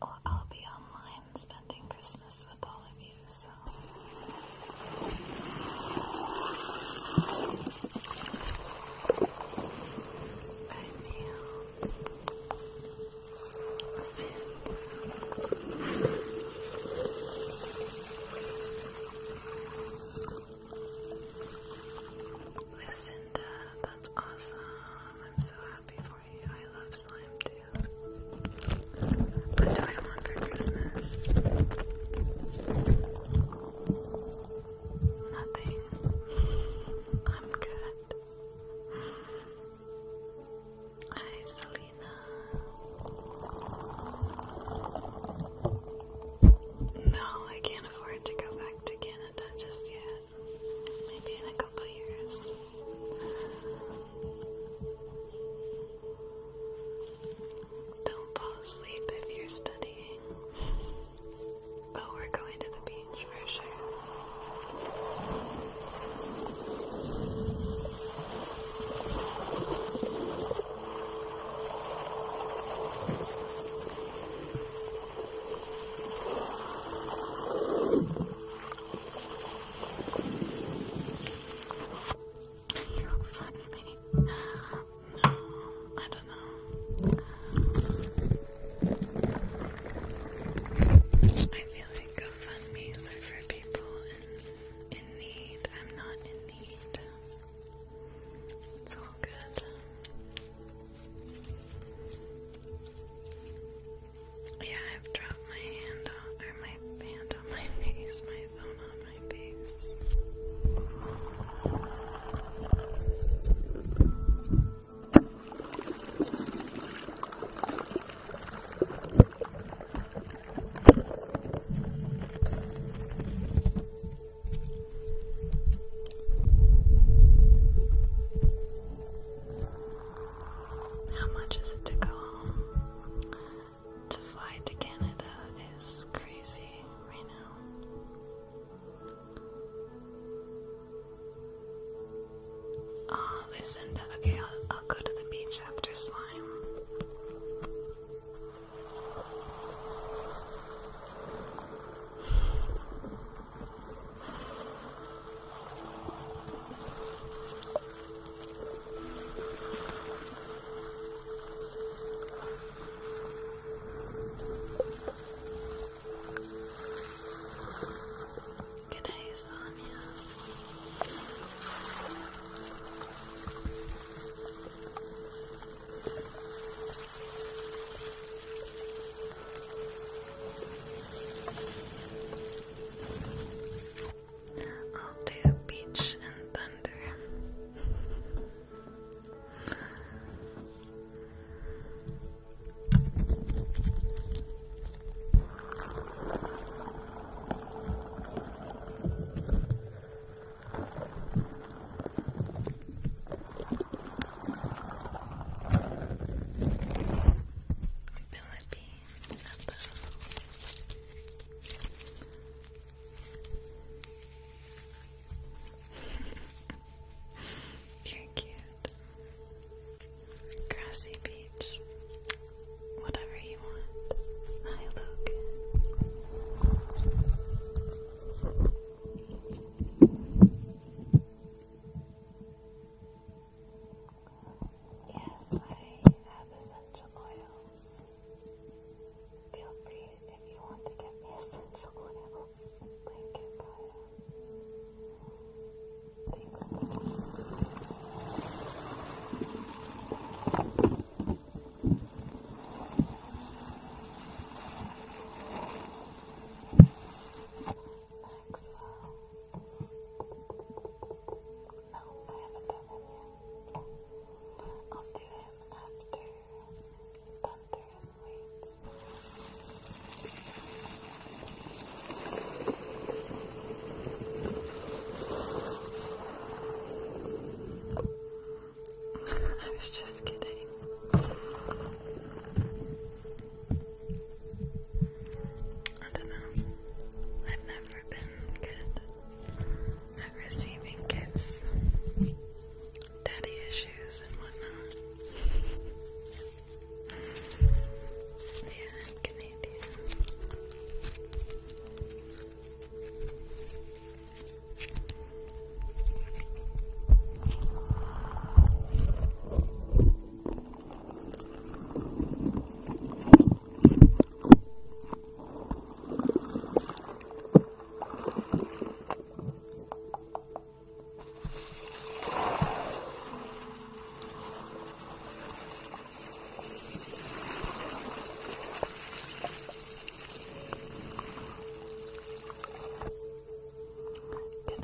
Well, I'll be online spending Christmas with all of you, I feel sin. Lucinda, that's awesome. I'm so happy for you. I love slime too. What do for Christmas? Nothing. I'm good. Hi, Selena. No, I can't afford to go back to Canada just yet. Maybe in a couple years. Don't fall asleep if you're studying being. Oh, we're going to the beach for sure. You're funny. No, I don't know. I feel like GoFundMe's are for people in, in need. I'm not in need. It's all good. Yeah, I've dropped my hand on, or my hand on my face, my phone on my face. How much is it to go home? To fly to Canada is crazy right now. Ah, okay, I'll, I'll go to the beach after slime. Good day, Sonia. I'll do beach and thunder. Philippines above. You're cute. Grassy beach. Whatever you want. Hi, Luke. Yes, I have essential oils. Feel free if you want to get essential oils. Link in Maxwell. No, I haven't done him yet. I'll do him after I was just kidding. I don't know. I've never been good at receiving gifts daddy issues and whatnot. Yeah, Canadian. Can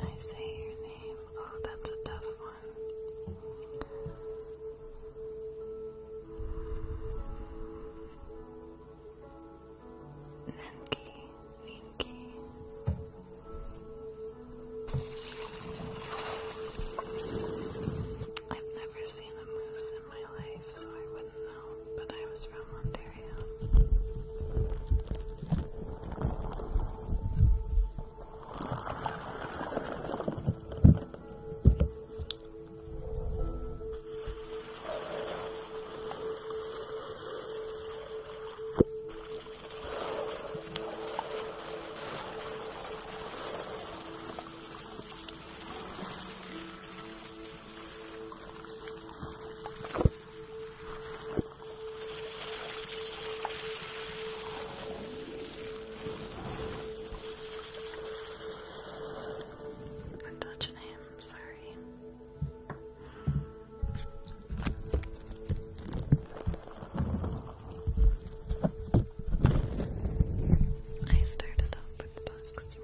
I say your name? Oh, that's a tough one. I've never seen a moose in my life, so I wouldn't know, but I was from Ontario. I touched sorry. I started off with books.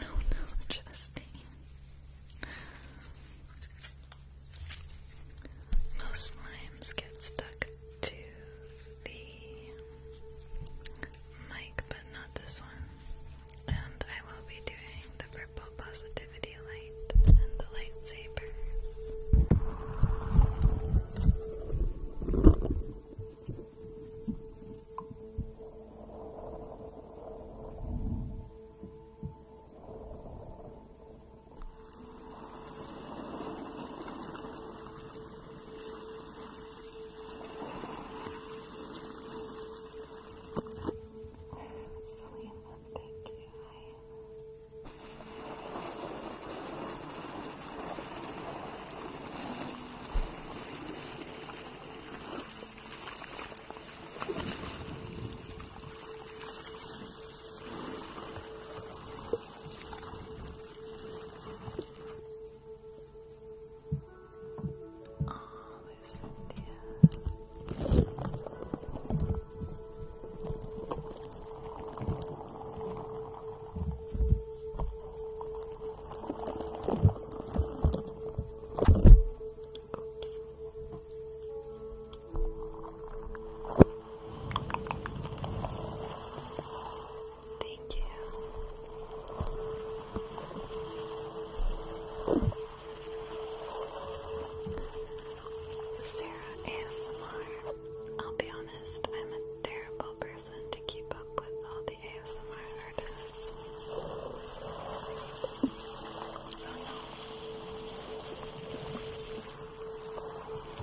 Oh no, Justine. Most slimes get stuck to the mic, but not this one. And I will be doing the purple positivity light and the lightsabers. Selena, thank you. Thank Oh, Cynthia. Oops. Thank you. Sarah ASMR. I'll be honest, I'm a terrible person to keep up with all the ASMR artists. So no. Jen,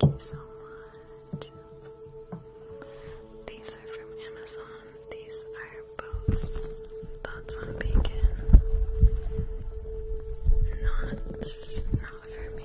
thank you so much. These are from Amazon. These are posts. Thoughts on bacon. Not, not for me.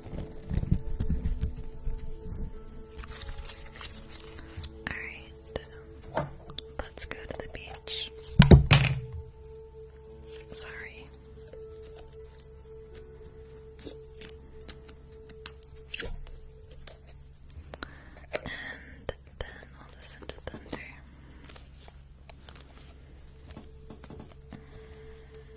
Alright, let's go to the beach. Sorry. And then we'll listen to thunder.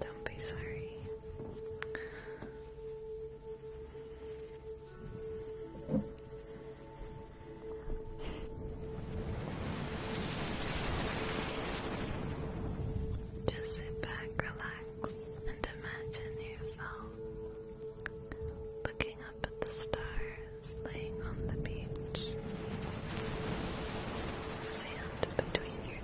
Don't be sorry. Just sit back, relax, and imagine yourself looking up at the stars laying on the beach. Sand between your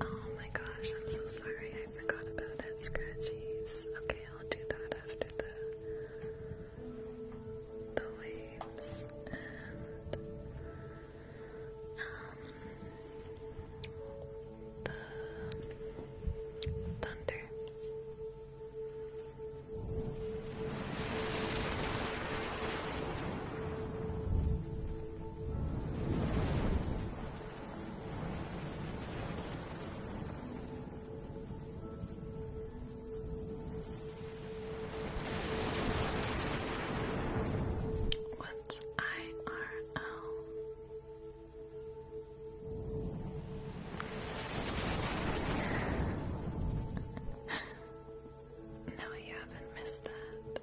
Oh my gosh, I'm so sorry. I forgot about that Scratchies. Okay, I'll do that after the the waves and um, the thunder. What's IRL? No, you haven't missed that.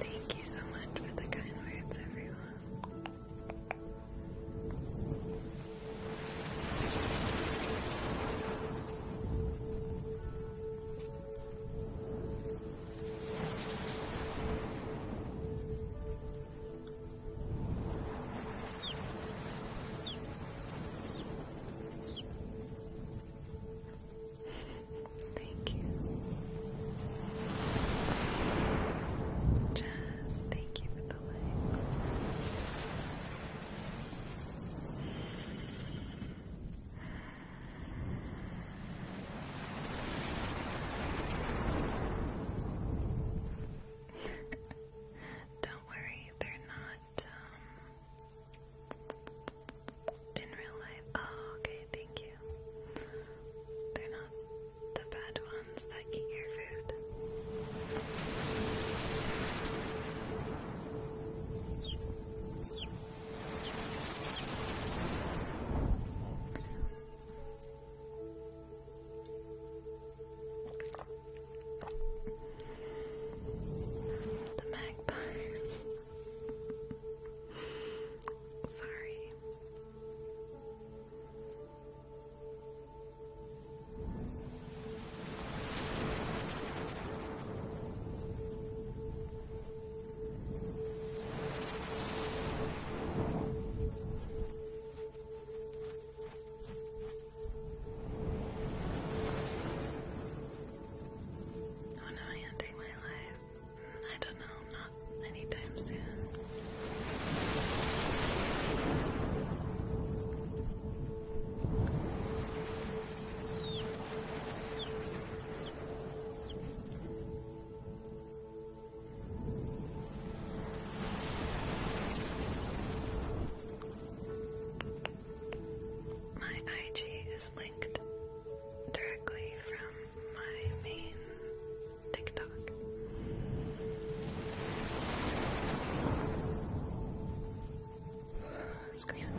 Thank you so much for the kind words, everyone. Thank you. Jazz, thank you for the likes. Don't worry, they're not um, in real life. Oh, okay, thank you. They're not the bad ones that eat your food. The magpies. Sorry. Oh no, ending my life. I don't know, not anytime soon. My IG is linked directly from my main TikTok. Squeeze me.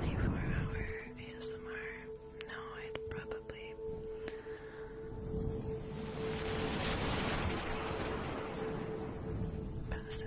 24 hour ASMR. No, I'd probably. Passive.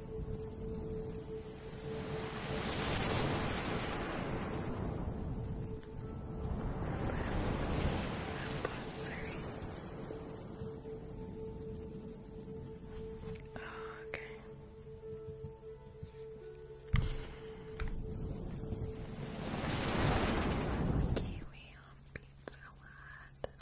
Oh, okay. Kiwi on Pizza Hut.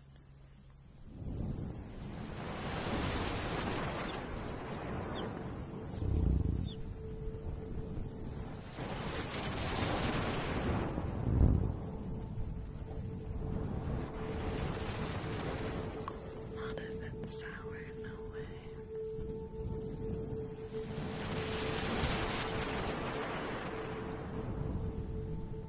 Not if it's sour, no way.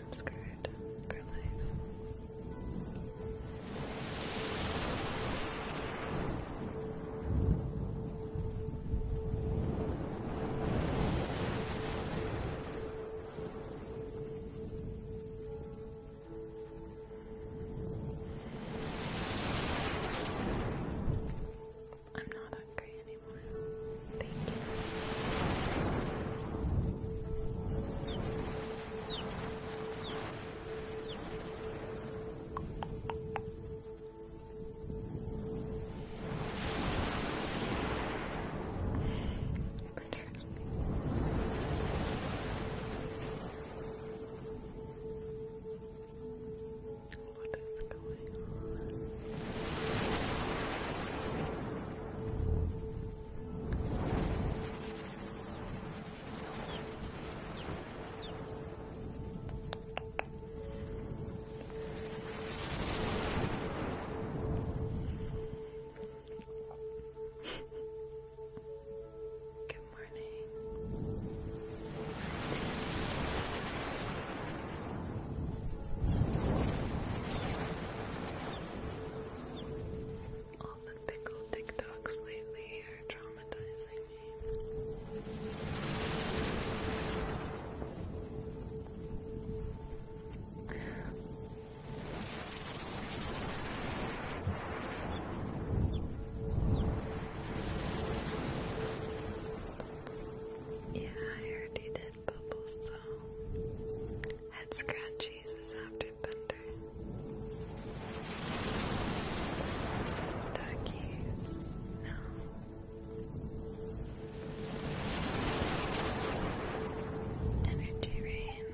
I'm scared for life. I'm not hungry anymore. Thank you glitter. What is going on? Good morning. All the pickle TikToks lately are traumatizing me. Yeah, I already did bubbles though. Head scratchies after thunder. Duckies, no. Energy rain.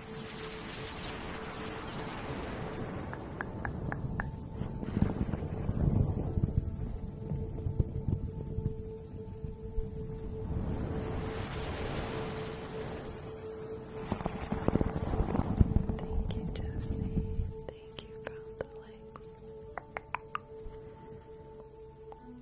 Thank you, Josie. Thank you for all the likes. Thank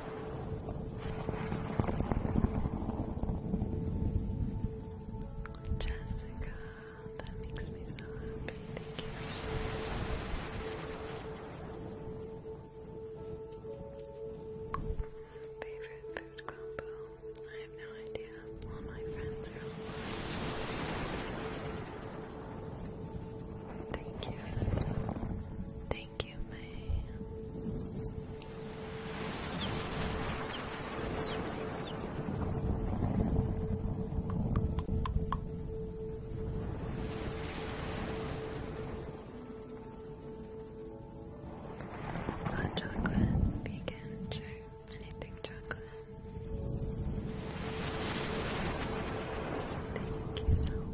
Jessica, that makes me so happy. Thank you. Favorite food combo? I have no idea. All my friends are Thank you. Thank Thank you, Hot chocolate, vegan, sure. Anything chocolate. Thank you so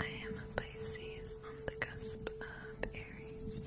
I am a Pisces on the cusp of Aries.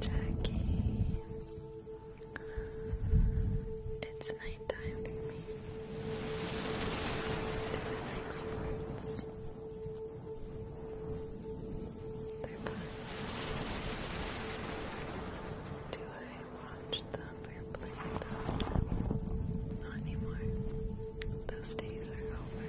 Jackie, it's night for me. Do I like sports? They're fun. Do I watch them? Not anymore. Those days are over.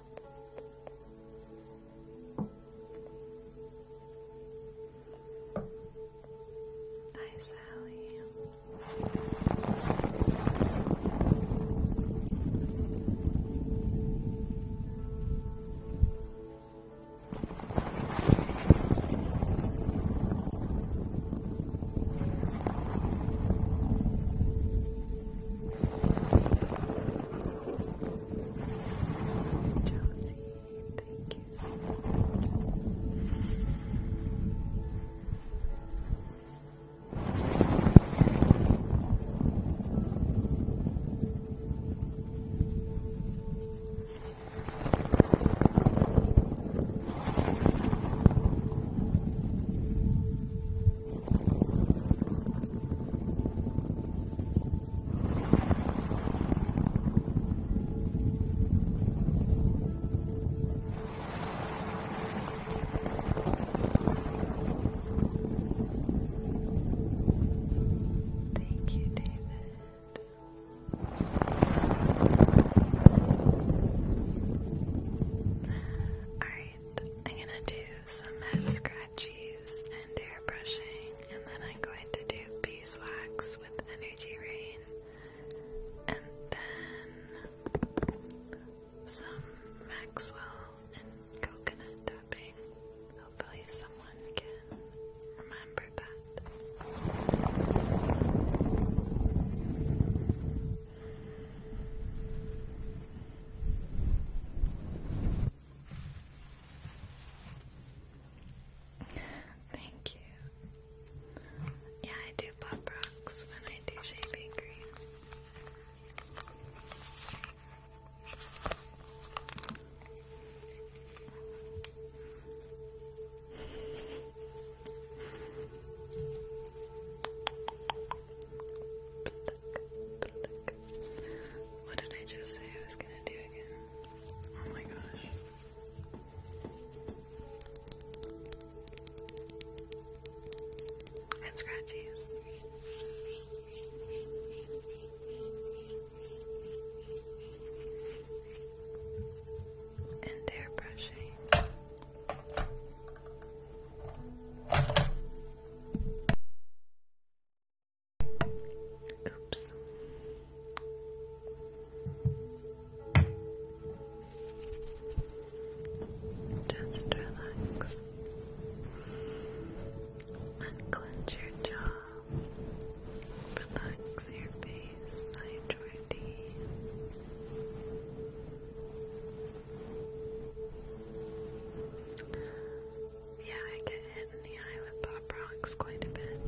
Hi, Sally. Josie, thank you so much. Thank Thank you, David. Alright, I'm gonna do some head scratching scratchies and hair and then I'm going to do beeswax with energy rain, and then some Maxwell and coconut tapping. Hopefully, someone can remember that. Thank you. Yeah, I do pop rocks when I do shaving cream. What did I just say I was gonna do again? Oh my gosh. And scratchies. And hair Oops. Just relax. Unclench your jaw. Relax your face sidewardy. Yeah, I get hit in the eye with pop rocks quite a bit.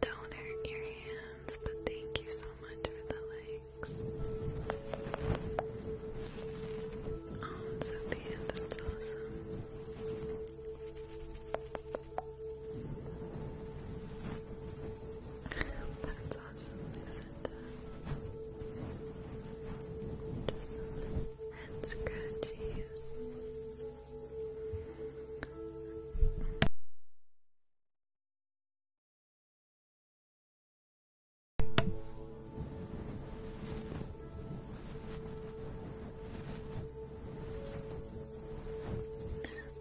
Don't hurt your hands, but thank you so much for the likes. Oh, Sophia, that's awesome. That's awesome, Lucinda. Just some head scratches.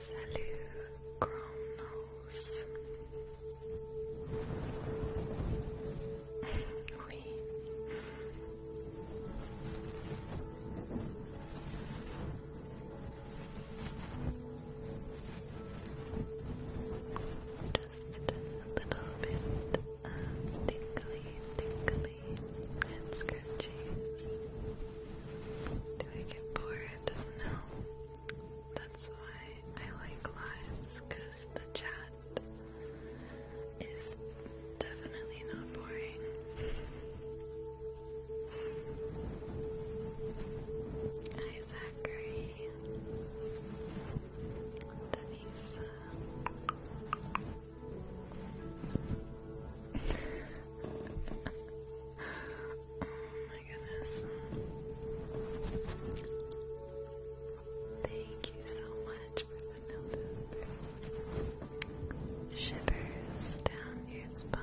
Salut, crown nose. oui. Just a little bit of uh, tingly, and scratchy. Just do I get bored? No. That's why I like lives, because the chat is definitely not boring. Hi, Zachary. Denise my goodness. Thank you so much for the notice. Shivers down your spine.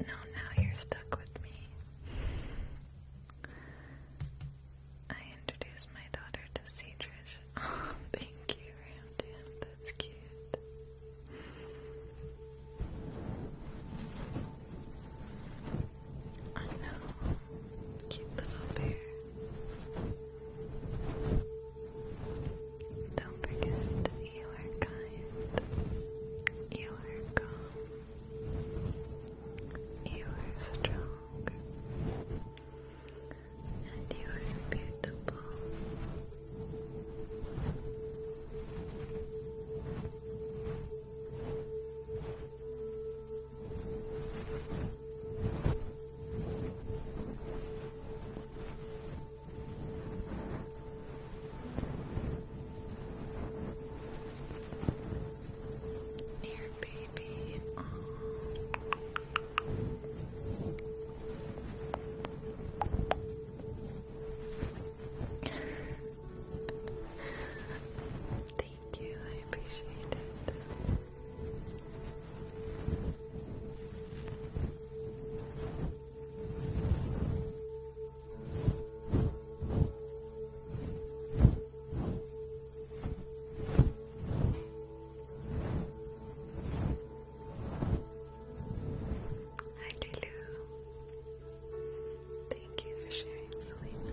No, now you're stuck with me. I introduced my daughter to Seatrish. Oh, thank you, Ramdan. That's cute. I know. Cute little bear. Don't forget, you are kind. You are calm. You are strong. And you are beautiful. You here, baby. Aww. Thank you, I appreciate it. Hi Lulu. Thank you for sharing, Selena.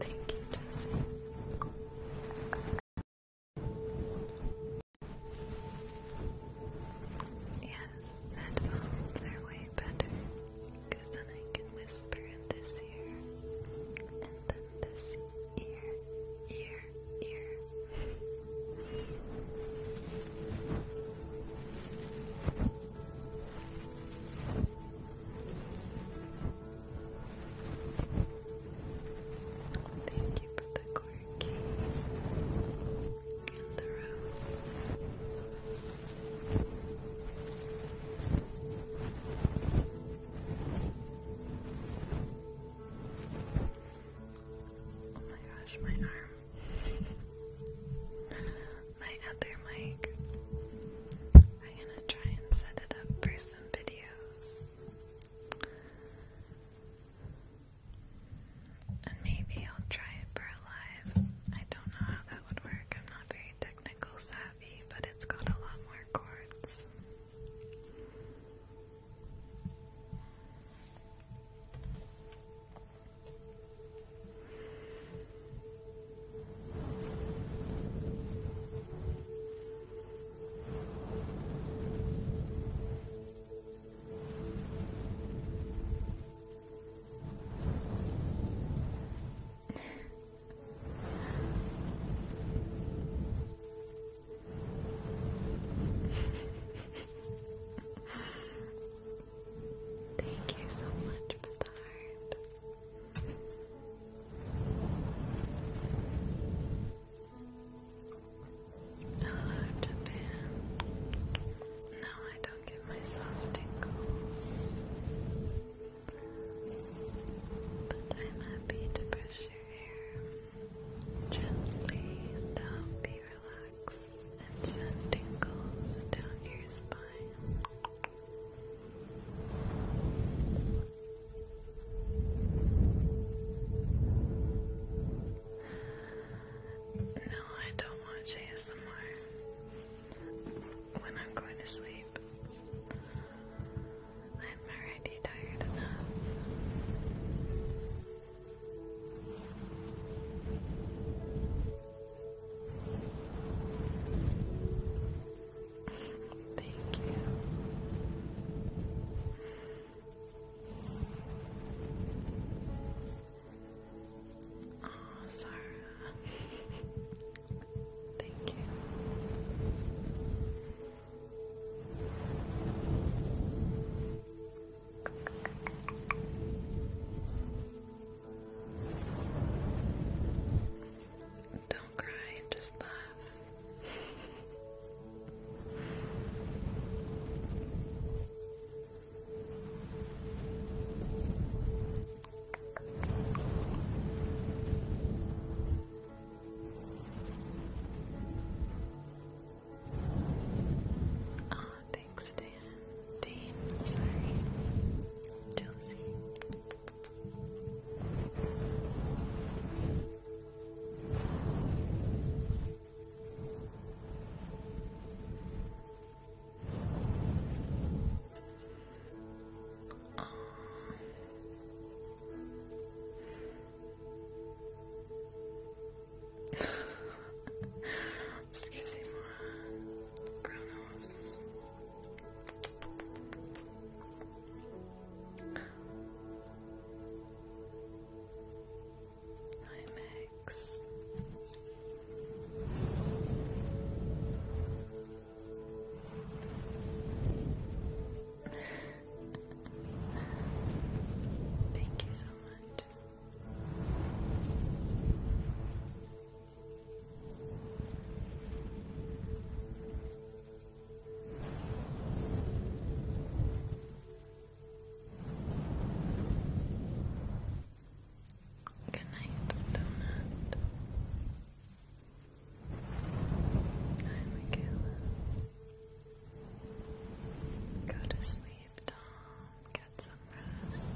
Thank you, Jesse. Yeah, headphones are way better then I can whisper in this ear and then this ear, ear, ear. Thank you for the quirky in the Oh my gosh, my arm. my other mic. I'm gonna try and set it up for some videos. And maybe I'll try it for a live. I don't know how that would work. I'm not very technical savvy, but it's got a lot more cords. Thank you so much for the heart. Hello, Japan. No, I don't. I'll give myself tingles. But I'm happy to brush your hair gently and help you and send tingles down your spine. No, I don't want to chase when I'm going to sleep. I'm already tired enough. Thank you. Oh, Sarah. Thank you. Don't cry, just laugh. Ah, oh, thanks, Dan. Dean, sorry. Josie excuse me, more Kronos. Hi, Meg relax. Thank you so much. Good night, Donut. Hi, Michaela. Go to sleep, Tom. Get some rest.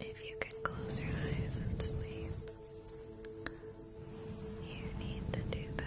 If you can close your eyes and sleep, you need to do that.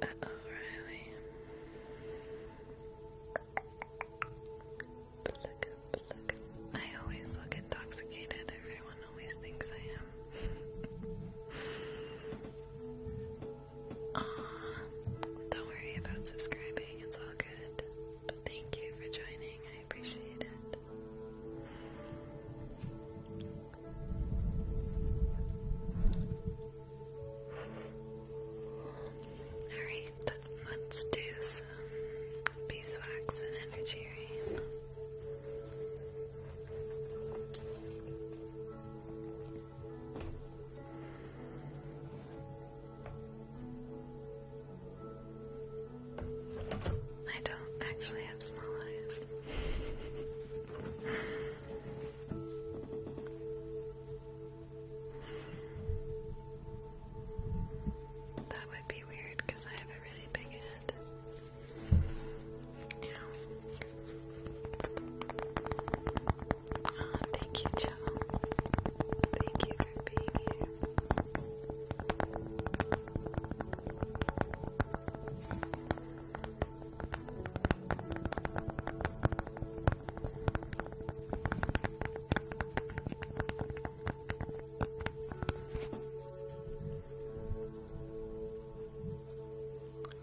Uh oh, Riley. I always look intoxicated. Everyone always thinks I am. Aw, don't worry about subscribing. It's all good. But thank you for joining. I appreciate it. Alright, let's do some beeswax and energy I don't actually have small eyes. That would be weird because I have a really big head. Ow. Oh, thank you, Joe. Thank you for being here.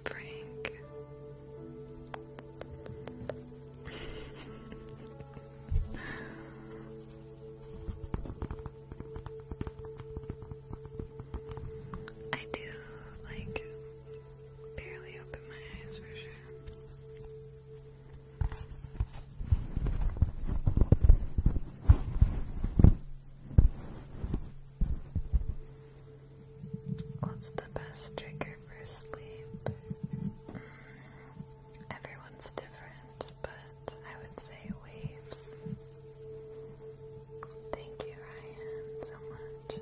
Frank. I do like barely open my eyes for sure. What's the best trigger for sleep? Mm, everyone's different, but I would say waves. Thank you, Ryan, so much.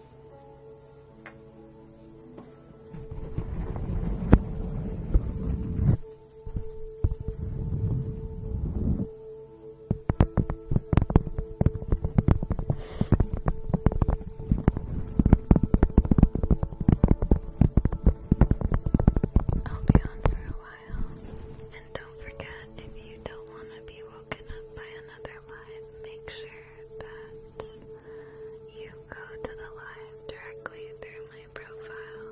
I'll be on for a while. And don't forget if you don't want to be woken up by another live make sure that you go to the live directly through my profile.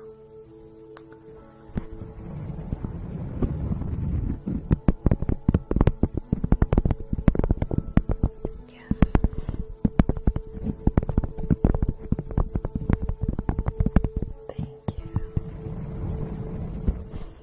Yes. Thank you.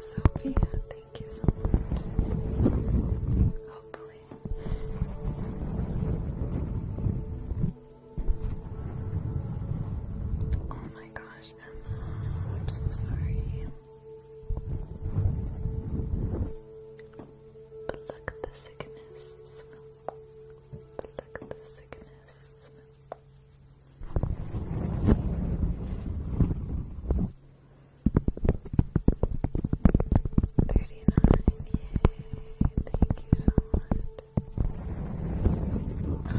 Sophia, thank you so much. Hopefully. Oh my gosh, Emma, I'm so sorry. Pluck the sickness. Pluck the sickness. Thirty-nine, yay, thank you so much. Oh, our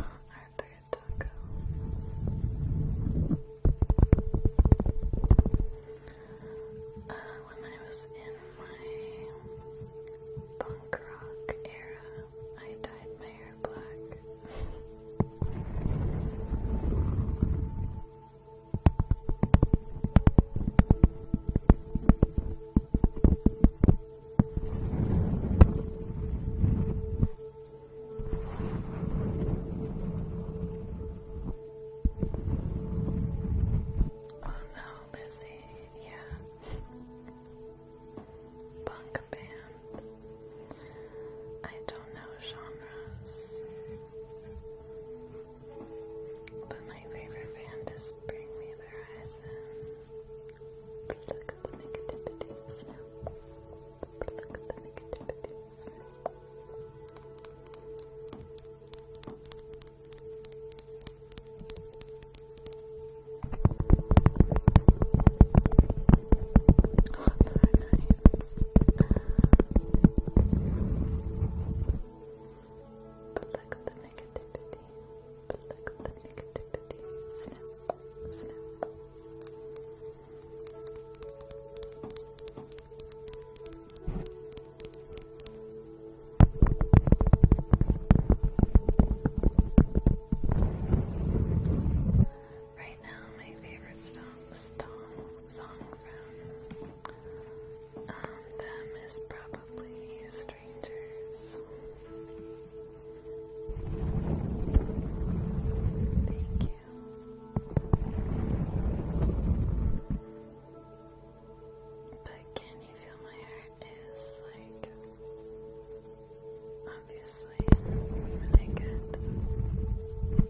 Uh, when I was in my rock era, I dyed my hair black. Oh no, Lizzie, yeah punk band. I don't know genres, but my favorite band is Bring Me the Horizon. Look at the negativities now. Look at the negativities. Pluck the negativity. Pluck the negativity. Snap. Snap. Pluck Right now, my favorite song, song, song from um, them is probably Strangers. Thank you. But can you feel my heart? is like obviously really good. Maybe.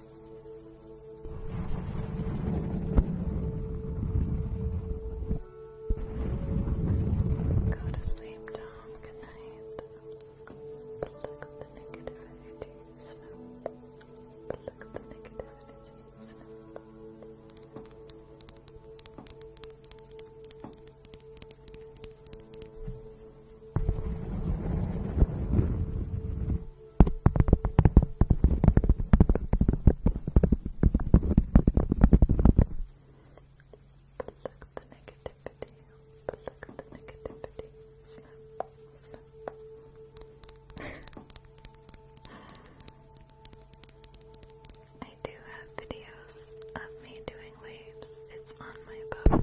Go to sleep, Tom. Good night. Pluck the negative energy. Snap. Pluck the negative energy. Pluck the negativity, pluck the negativity, snap, snap. I do have videos of me doing waves. It's on my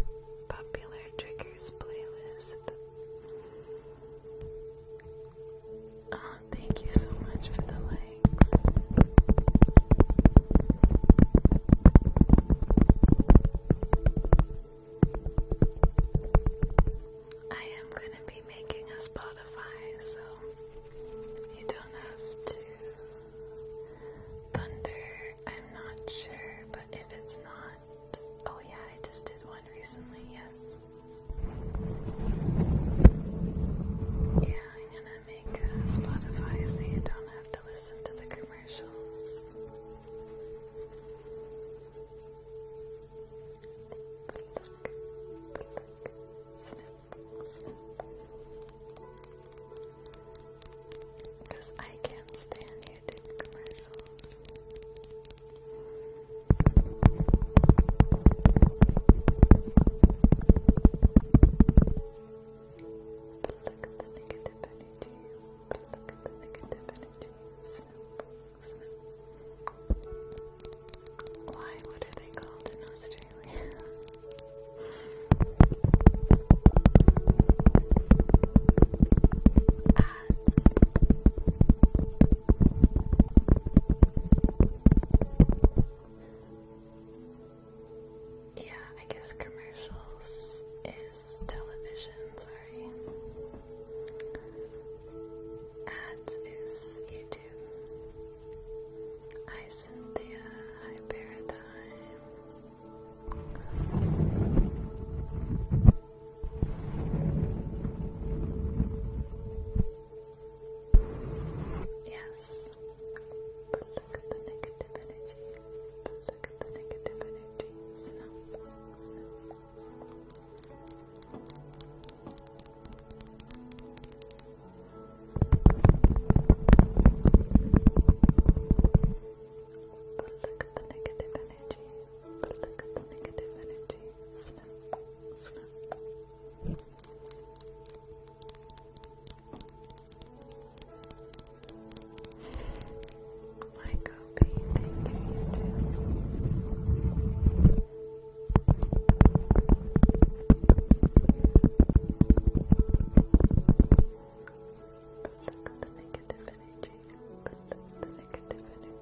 popular triggers playlist. Oh, thank you so much for the likes. I am going to be making a Spotify, so you don't have to thunder. I'm not sure, but if it's not Oh, yeah, I just did one recently, yes. Yeah, I'm gonna make uh, Spotify so you don't have to listen to the commercials. Because I can't stand you edited commercials. Pluck the negative energy. Pluck the negative Why? What are they called in Australia? Ah, yeah, I guess commercials is television, sorry. Ads is YouTube. Hi Cynthia, hi Paradigm. Yes. But look at the negative energy. But look at the negative energy. But look at the negative energy. But look at the negative energy. Snap, snap. But look at the negative negative energy. the negative energy.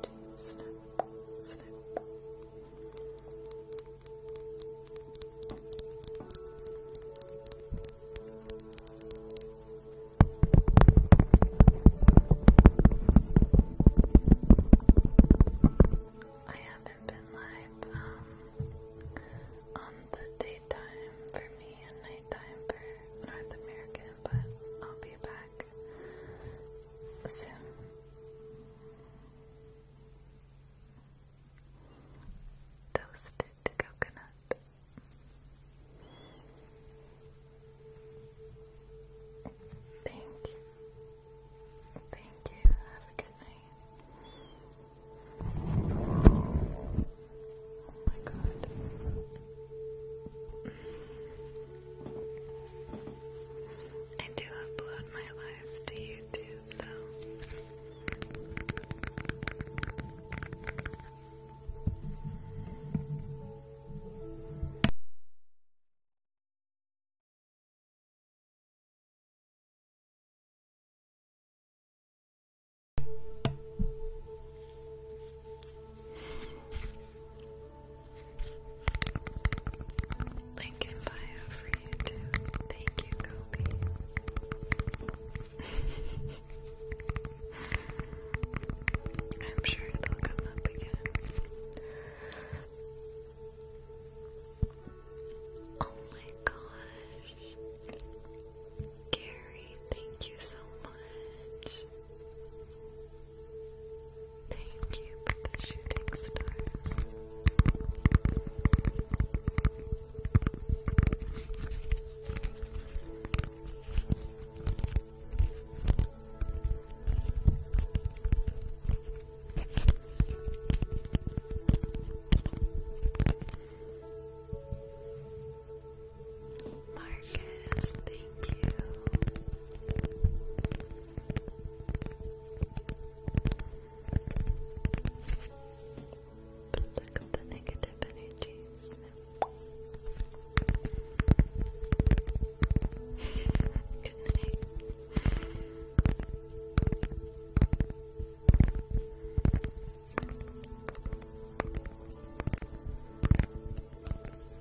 I haven't been live um, on the daytime for me and nighttime for North America, but I'll be back Toasted coconut. Thank you. Thank you. Have a good night. Oh my god. I do upload my lives to YouTube though. Link bio for you too. Thank you, Kobe. I'm sure they'll come up again. Oh my gosh. Gary, thank you so much. Thank you for the shooting stars. Mark, Marcus, thank you. But look the negative energies. Good night.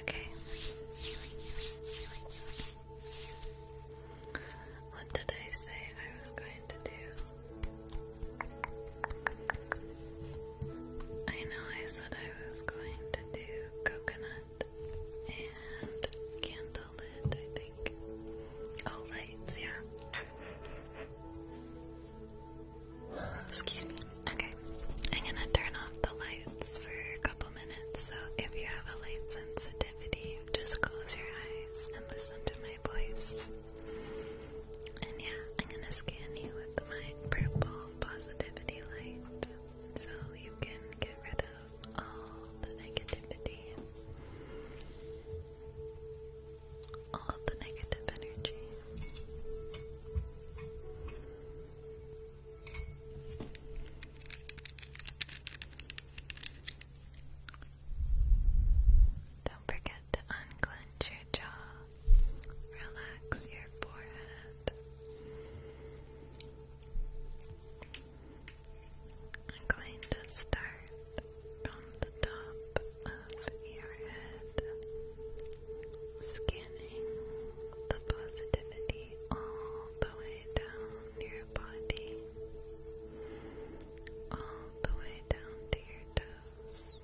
Okay. What did I say I was going to do? I know I said I was going to do coconut and candle I think. Oh, lights, yeah. Excuse me. Okay, I'm gonna turn off the lights for a couple minutes. So if you have a light sensitivity, just close your eyes and listen to my voice. And yeah, I'm gonna scan you with my purple positivity light so you can get rid of all the negativity. Don't forget to unclench your jaw, relax your forehead. I'm going to start from the top your head, scanning the positivity all the way down your body, all the way down to your toes,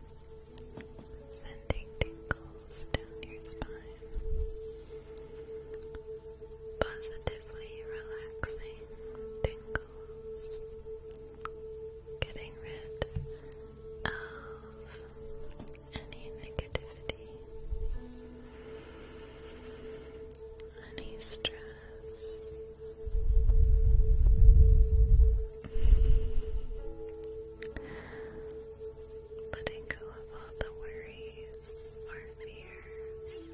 sending tingles down your spine, positively relaxing tingles. Getting rid of any negativity, any stress. Letting go of all the worries or fears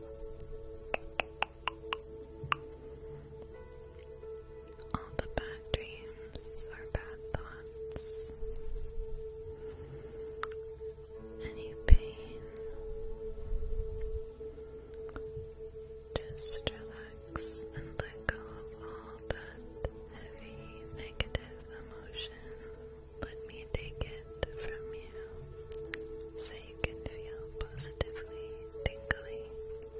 all the bad dreams or bad thoughts, any pain. Just relax and let go of all that heavy negative emotion. Let me take it from you so you can feel positively tingly Good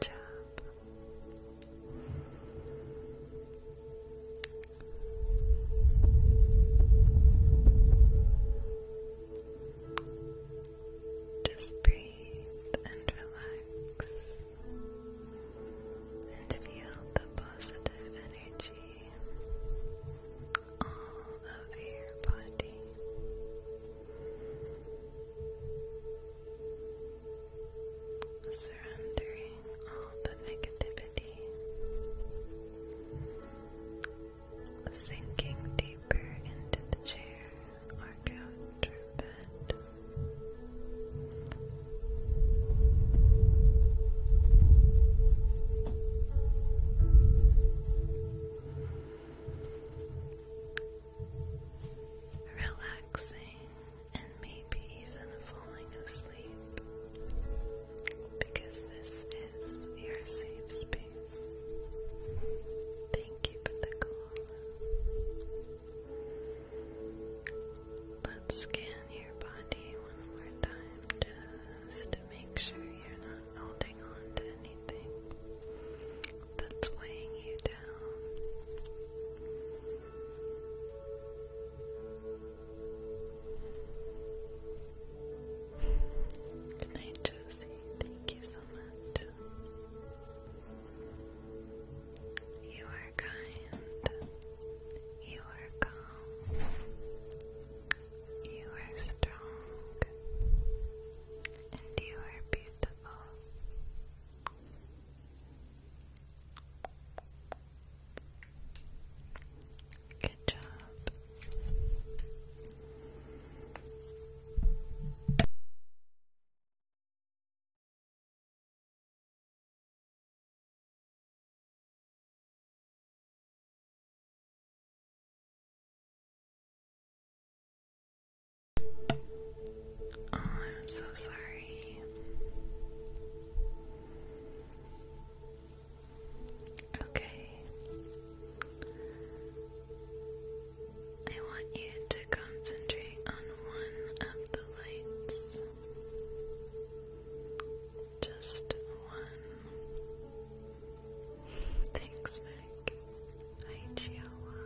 job. Just breathe and relax and feel the positive energy all of your body. Surrendering all the negativity, sinking deeper into the chair or couch or bed, Relaxing and maybe even falling asleep because this is your safe space. Thank you for the call. Let's scan your body one more time just to make sure you're not holding on to anything that's weighing you down. Good Josie. Thank you so much. You are kind. You are kind. You are strong and you are beautiful. Good job. Oh, I'm so sorry. Okay. I want you to concentrate on one of the lights. Just one. Thanks, Nick. Hi, Chihuahua.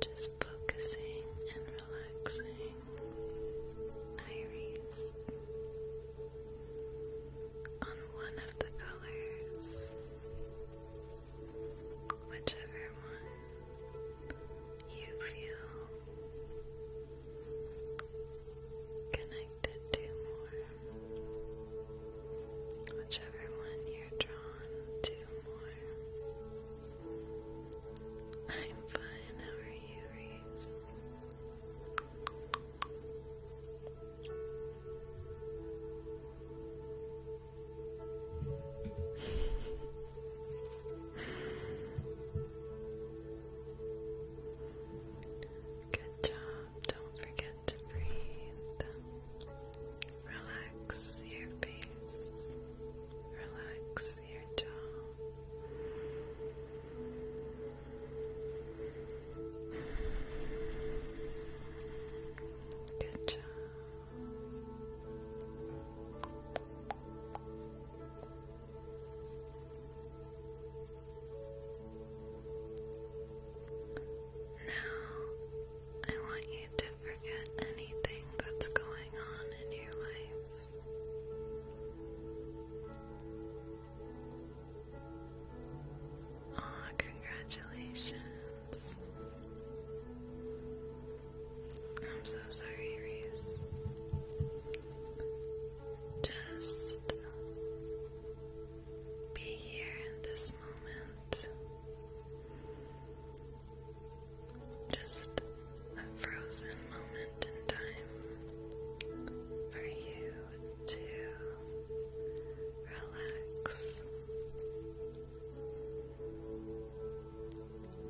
Just focusing and relaxing. Hi, On one of the colors, whichever one you feel connected to more, whichever one you're drawn to more. I'm fine, how are you, Reese? Good job. Don't forget to breathe. Relax your face. Relax your jaw. Good job. Now, I want you to forget anything that's going on in your life. Ah, congratulations. I'm so sorry, Reese. Just be here in this moment. Just a frozen moment in time for you to relax.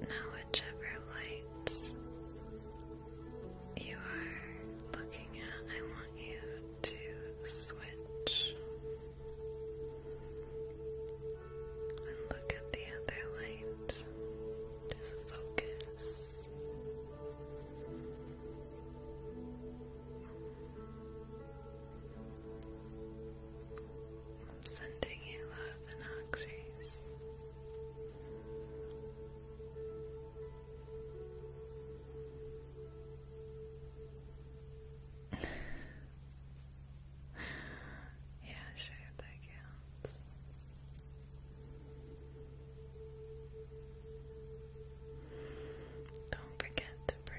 Now, whichever lights you are looking at, I want you to switch and look at the other light. Just focus sending you love and oxys. yeah, sure, that counts. Don't forget to breathe.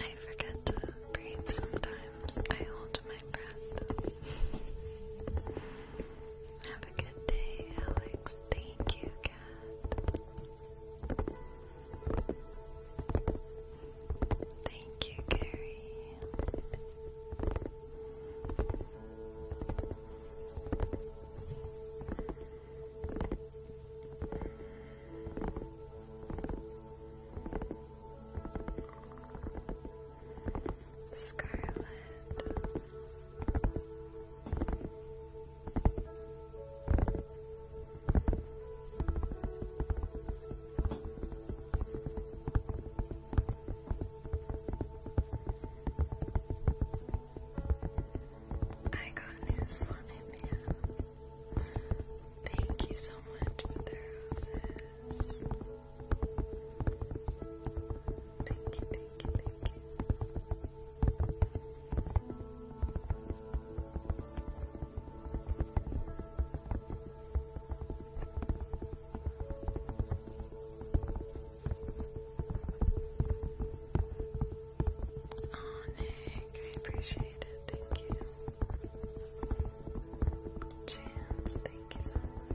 I forget to breathe sometimes. I hold my breath. Have a good day, Alex. Thank you, Thank you, Gary. Scarlet. I got new slime, Thank you so much for the roses. Thank you, thank you, thank you. Oh, I appreciate it. Thank you. Chance, thank you so much.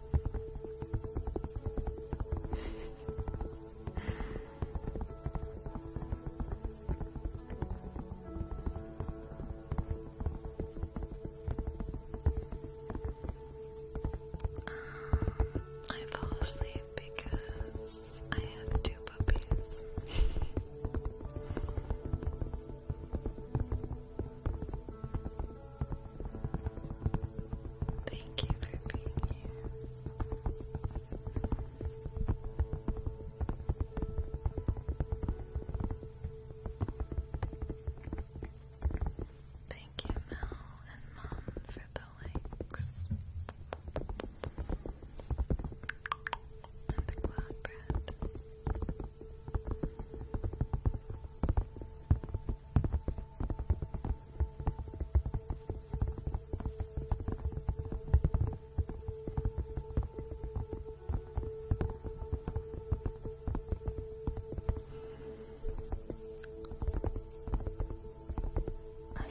I fell asleep because I have two puppies. Thank you for being here. Thank you, Mel and Mom, for the likes. And the cloud bread. A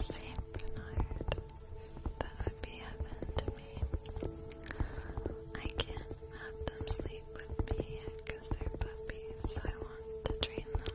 Saint Bernard. That would be heaven to me. I can't have them sleep with me because they're puppies, so I want to train them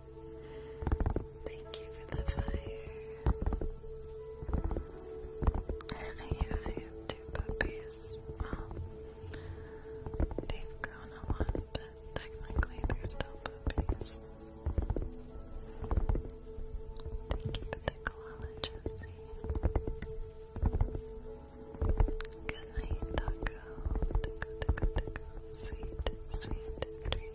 Thank you for the fire. yeah, I have two puppies. Well, they've grown a lot, but technically they're still puppies. Thank you for the koala, Josie. Good night, Taco. Taco, Taco, Taco. Sweet, sweet dreams.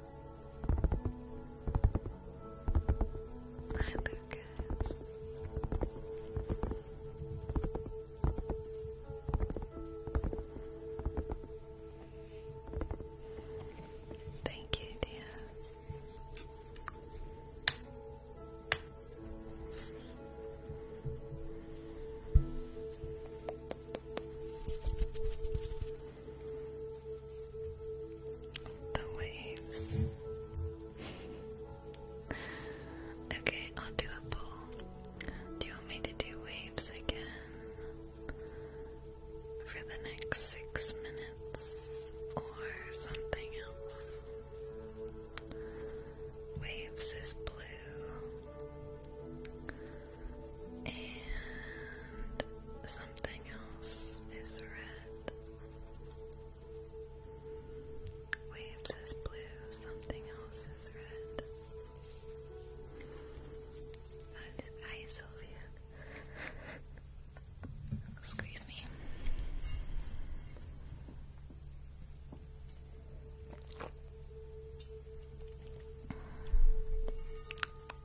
Hi, Lucas. Thank you, dear. The waves. okay, I'll do a bowl. Do you want me to do waves again for the next six minutes or something else? Waves is blue and something else is red that. Waves is blue, something else is red. Hi, Sylvia. Squeeze me.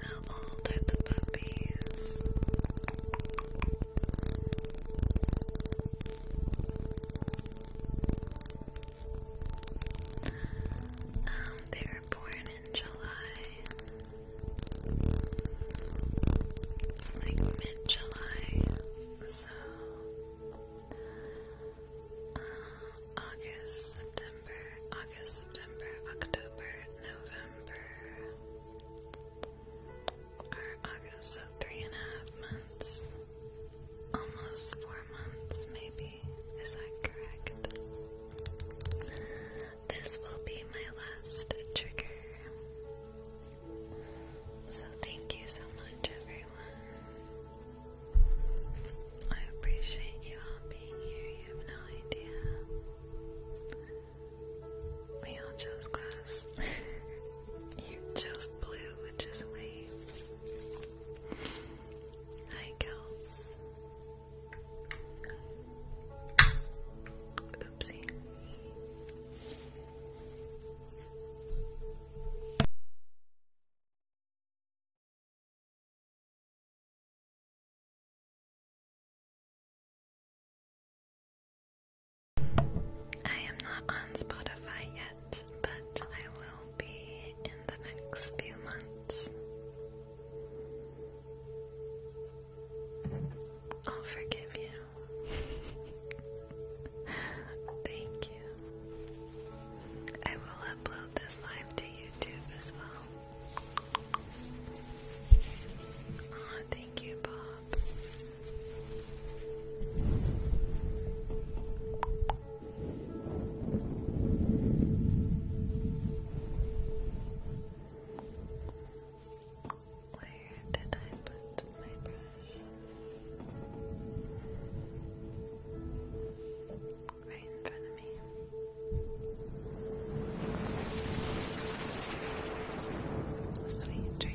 How old are the puppies? Um, they were born in July, like mid July, so uh, August, September. August, September, October, November, or August, so three and a half months, almost four months, maybe. Is that correct? This will be my last trigger. So, thank you so much, everyone. I appreciate you all being here. You have no idea. We all chose glass. you chose blue, which is waves. Hi, girls. Oopsie. I am not on Spotify yet, but I will be in the next few months. I'll forgive you. Thank you. I will upload this live to YouTube as well thank you, Bob. Where did I put my brush? right in Sweet dreams.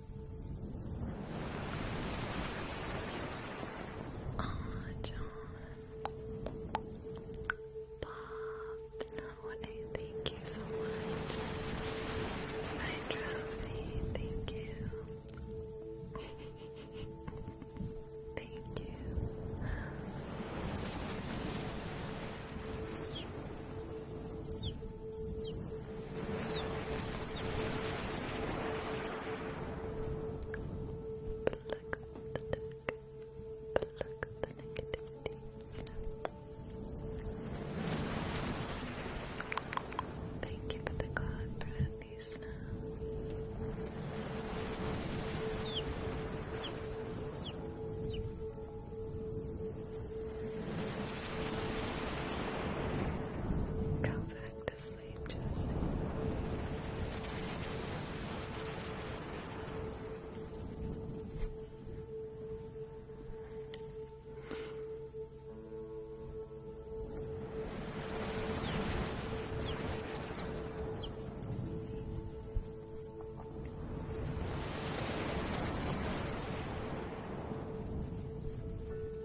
Aw, John. Bob. No, hey, thank you so much. My drowsy, thank you. thank you. Pluck the negativity Thank you the God for happy snow. Pluck, pluck, pluck, pluck, pluck, pluck, pluck, pluck, pluck, Go back to sleep, Jesse.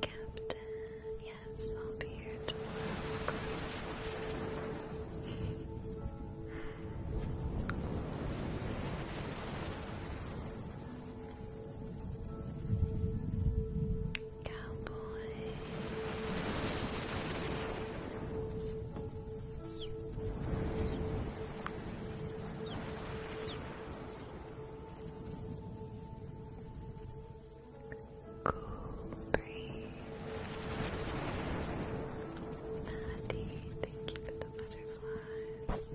Captain, yes, I'll here tomorrow, Cowboy. Cool breeze. Maddie, thank you for the butterfly butterflies.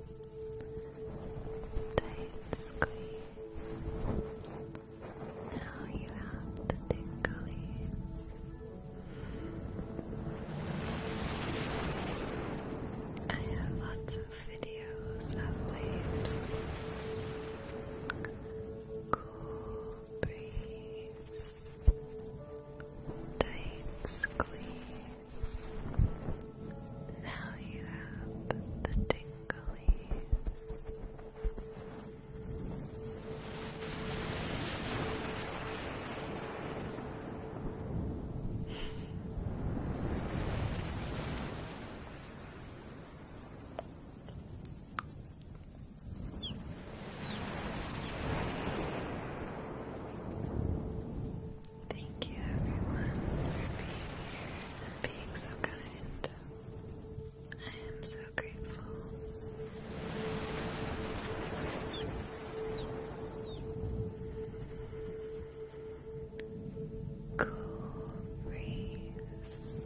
Tight squeeze. Now you have the tinglies. I have lots of videos of late. Cool breeze. Tight squeeze. Now you have the tinglies. Thank you everyone for being here and being so kind. I am so grateful. Cool breeze.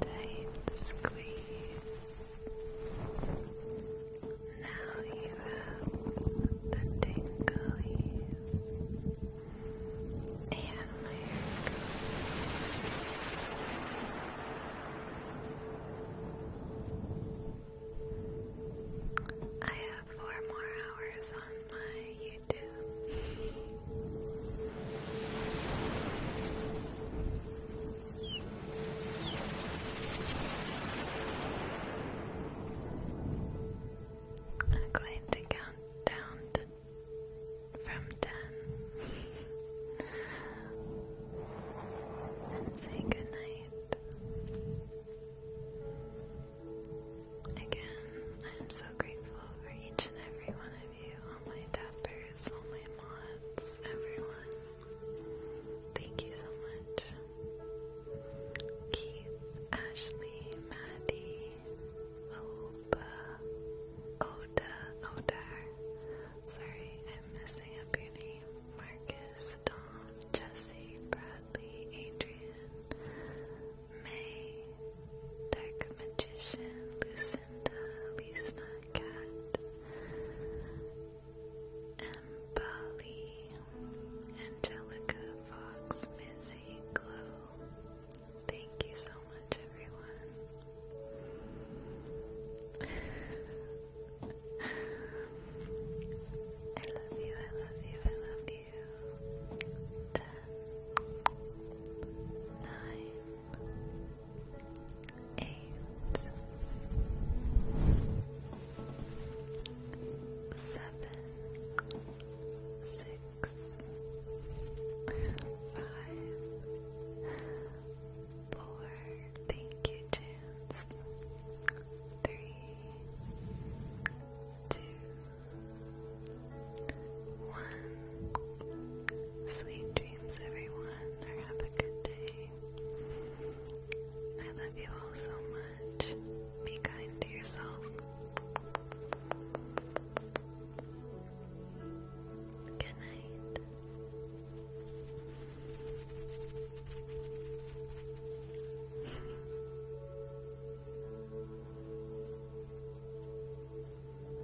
Tight squeeze. Now you have the tingles. I have four more hours on my YouTube. I'm going to count down from ten and say good Again, I am so grateful for each and every one of all my tappers, all my mods, everyone. Thank you so much. Keith, Ashley, Maddie, Opa, Oda, Odar. Sorry, I'm messing up your name. Marcus, Tom, Jesse, Bradley, Adrian, May, Dark Magician, Lucinda, Lisa Cat, Mbali, Angelica, Fox, Missy, Glow. Thank you so much, everyone. I love you, I love you, I love you. Ten, nine, eight, seven, six, five, four, thank you, Chance, three, two, one. Sweet dreams, everyone, or have a good day. I love you all so much. Be kind to yourself. Good night.